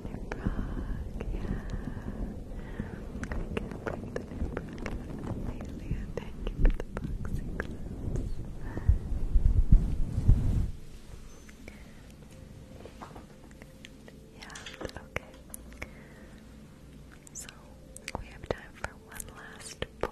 New Brock, yeah. I can't the new Brock. Amelia, thank you for the boxing Yeah, okay. So We have time for one last pull.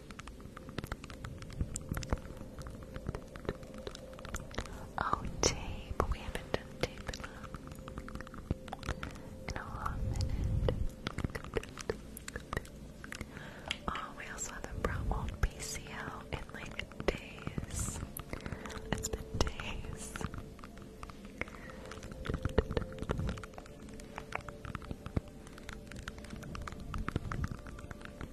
Oh, tape. We haven't done tape in a, long minute. Oh, we also haven't brought old PC in like days. It's been days.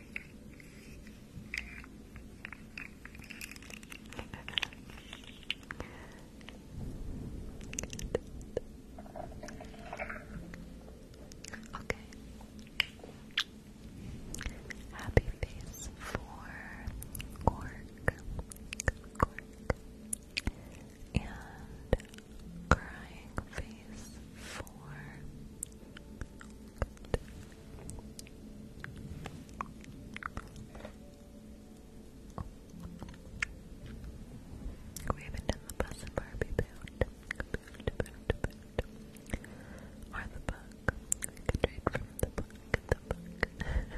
Okay. Happy face for cork, and crying face for we haven't done the bus and Barbie build. build, the book. We could read from the book. The [laughs] book.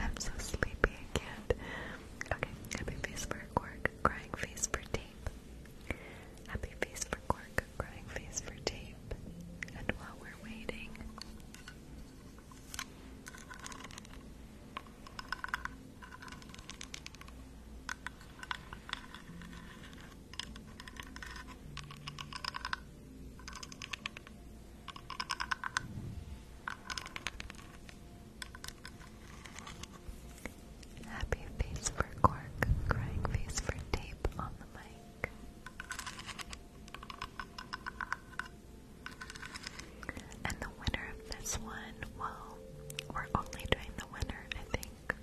I'm so sleepy, I can't. Okay, happy face for a crying face for tape. Happy face for cork, crying face for tape. And while we're waiting, Happy face for cork, crying face for tape on the mic. And the winner of this one, well, we're only doing the winner, I think,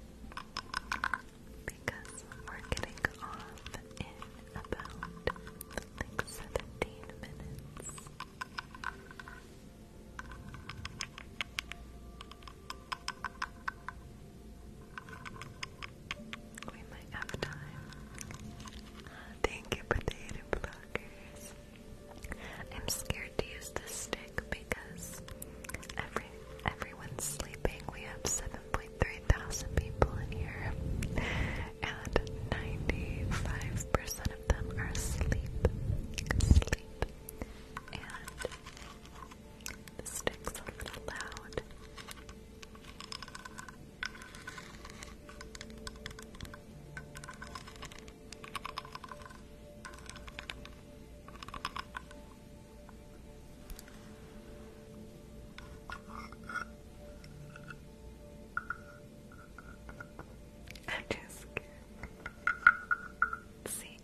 because we're getting off in about like 17 minutes. We might have time. Thank you, potato blockers. I'm scared to use the stick because every everyone's sleeping. We have 7.3 thousand people in here, and 95% of them are asleep. Sleep. And the stick's a little loud. I'm just scared. See,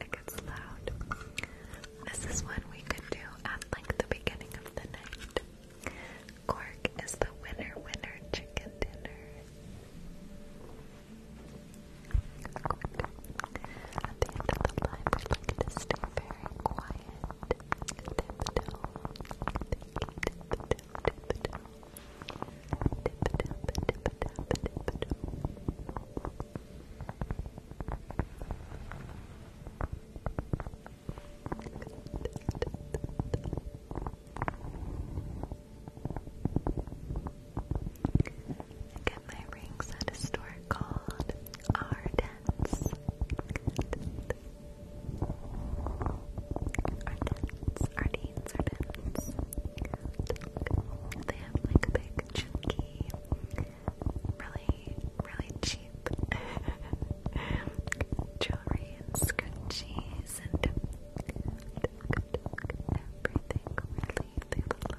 it gets loud. This is one we could do at like the beginning of the night. Cork is the winner, winner chicken dinner. At the end of the live, we like to stay very quiet. I get my rings at a store called Ardent's. Ardent's, Ardent's, Ardent's. They have like a big chunky really, really cheap jewelry scrunchies and everything. Really, they have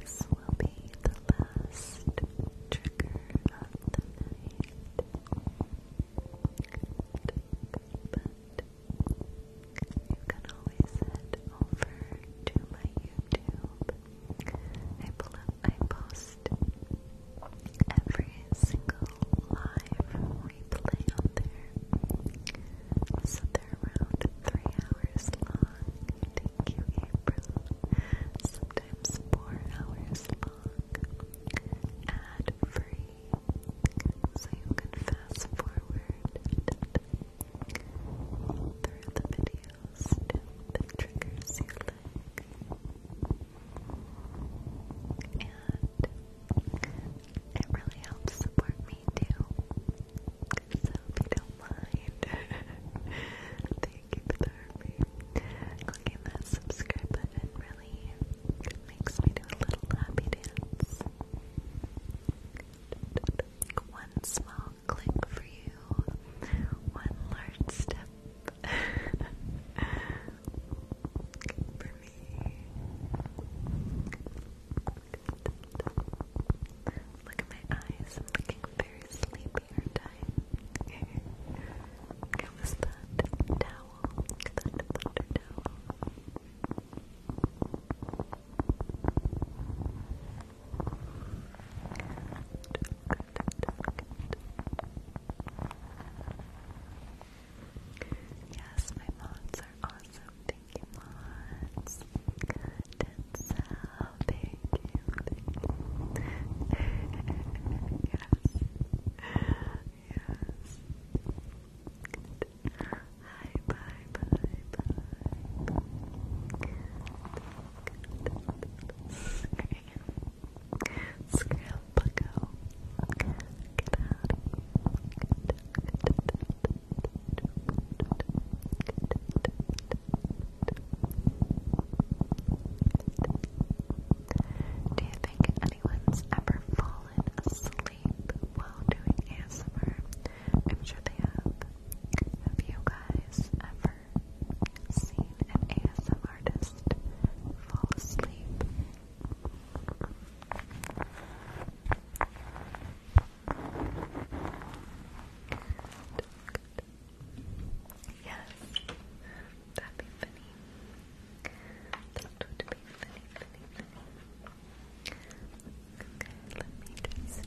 This will be the last trigger of the night. But you can always head over to my YouTube I, I post every single live replay on there. they're around three hours long. Thank you, April. Sometimes four hours long. Ad free. So you can fast forward through the videos to the triggers and it really helps support me too. So if you don't mind, [laughs] thank you for Clicking that subscribe button really makes me do a little happy dance. One small click for you, one large step for me. Look at my eyes. looking very sleepy, aren't I? How was that towel? That butter towel. Yes, my mods are awesome. Thank you, mods. Good and so thank you, yes. Yes. Good. Hi, bye, bye, bye. Good. Good. Scrapple go. out Do you think anyone's ever fallen asleep while doing ASMR? I'm sure they have. Have guys ever seen an ASM artist fall asleep? Yes, that funny. That would be funny, funny, funny. Okay, let me just.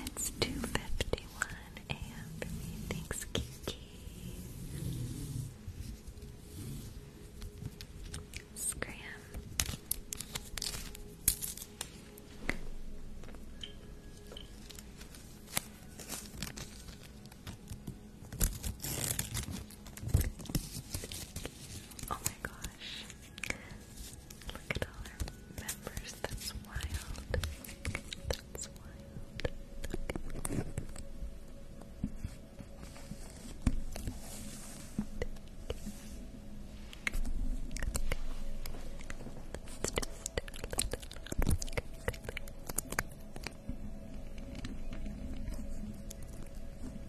It's 2.51 a.m. Thanks, Kiki. Scram. Oh my god, gosh. Look at all our members. That's wild. That's wild. Let's just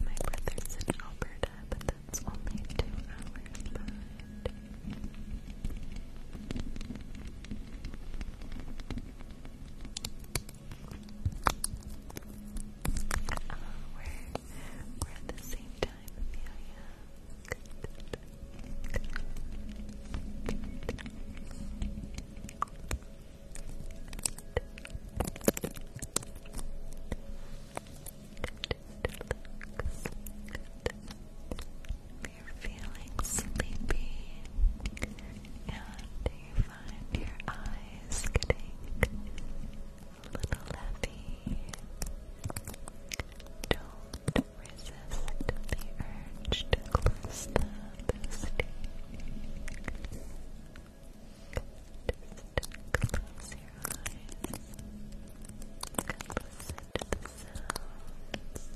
My brother's in Alberta, but that's only two hours behind. We're at the same time, you're feeling sleepy and you find your eyes getting little heavy. Don't resist the urge to close the boosty. close your eyes. Listen to the sounds. Just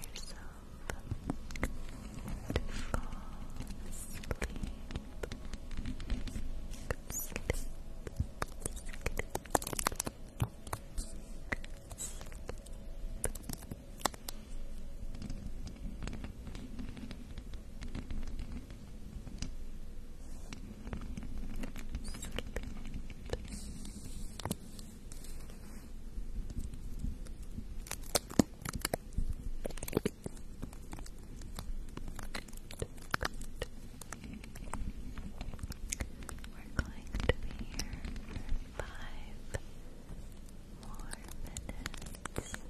yourself to fall asleep. Sleep. Sleep. Sleep. We're going to be here for five more minutes. Five minutes. Good.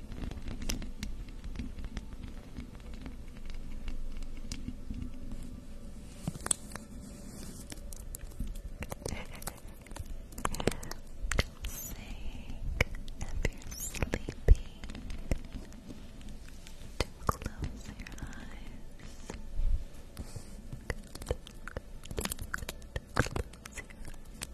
Sink if you're sleepy. To close your eyes. Good. Good. Close your eyes.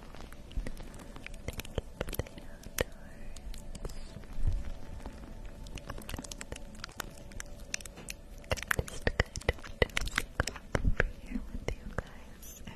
Just kind of doing up over here with you guys. Good.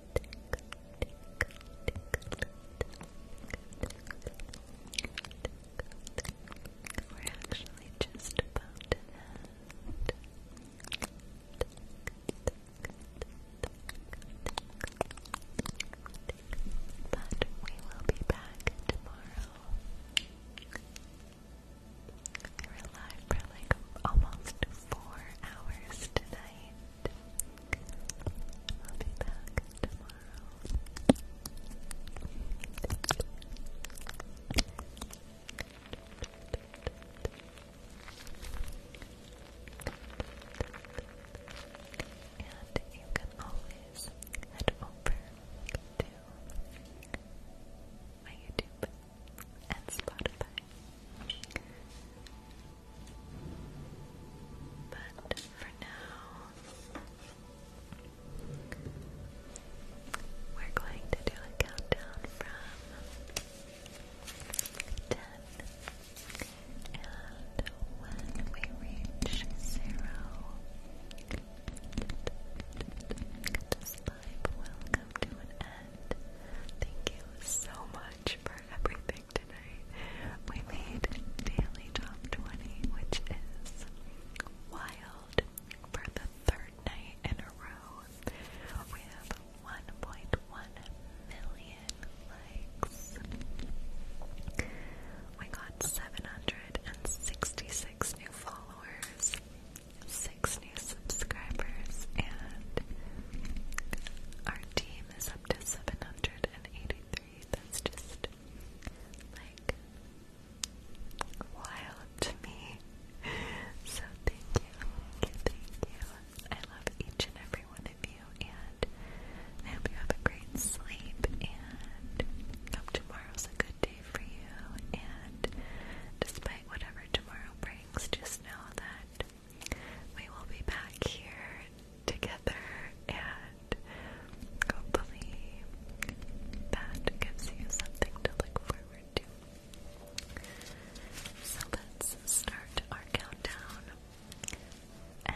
We're actually just about to end. But we will be back tomorrow. We were live for like almost four hours tonight i And you can always head over to my YouTube and Spotify. But for now, we're going to do a countdown from 10. And when we reach zero, this live will come to an end. Thank you so much for everything tonight, we made Daily Top 20, which is wild for the third night in a row. We have 1.1 million likes. We got 766 new followers, 6 new subscribers, and our team is up to 783 that's just like wild to me. [laughs] So thank you, thank you, I love each and every one of you, and I hope you have a great sleep. And hope tomorrow's a good day for you. And despite whatever tomorrow brings, just know that we will be back here together, and hopefully that gives you something to look forward to. So let's start our countdown. And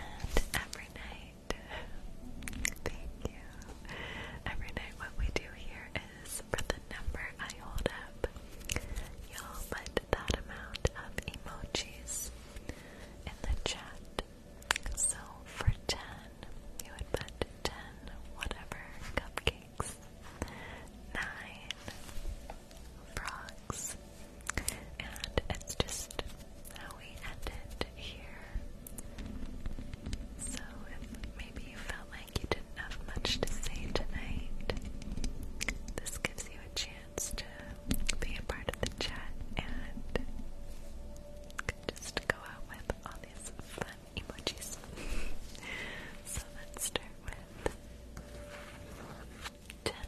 every night, [laughs] thank you. Every night, what we do here is for the number I hold up, you'll put that amount of emojis in the chat. So for 10, you would put 10 whatever cupcakes, 9 frogs, and it's just how we end here. So if maybe you felt like you didn't have much to say tonight, this gives you a chance chance to be a part of the chat and just go out with all these fun emojis. [laughs] so let's start with ten. Nine.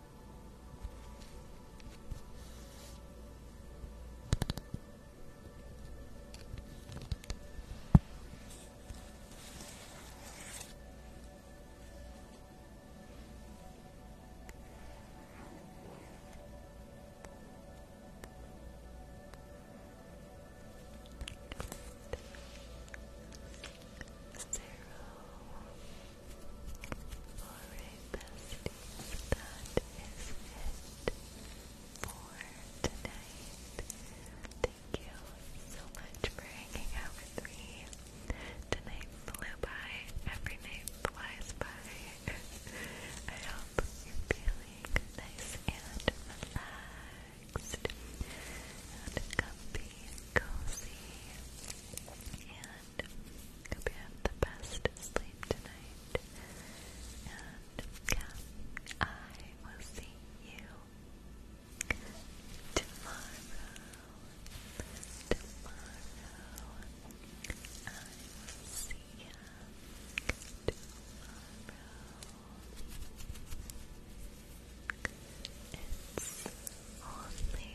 Zero. Alright, besties, that is it for tonight. Thank you so much for hanging out with me. Tonight flew by, every night flies by. I hope you're feeling nice and relaxed and comfy, cozy, and and hope you the best sleep tonight. And I will see you tomorrow. Tomorrow, I will see you tomorrow. It's only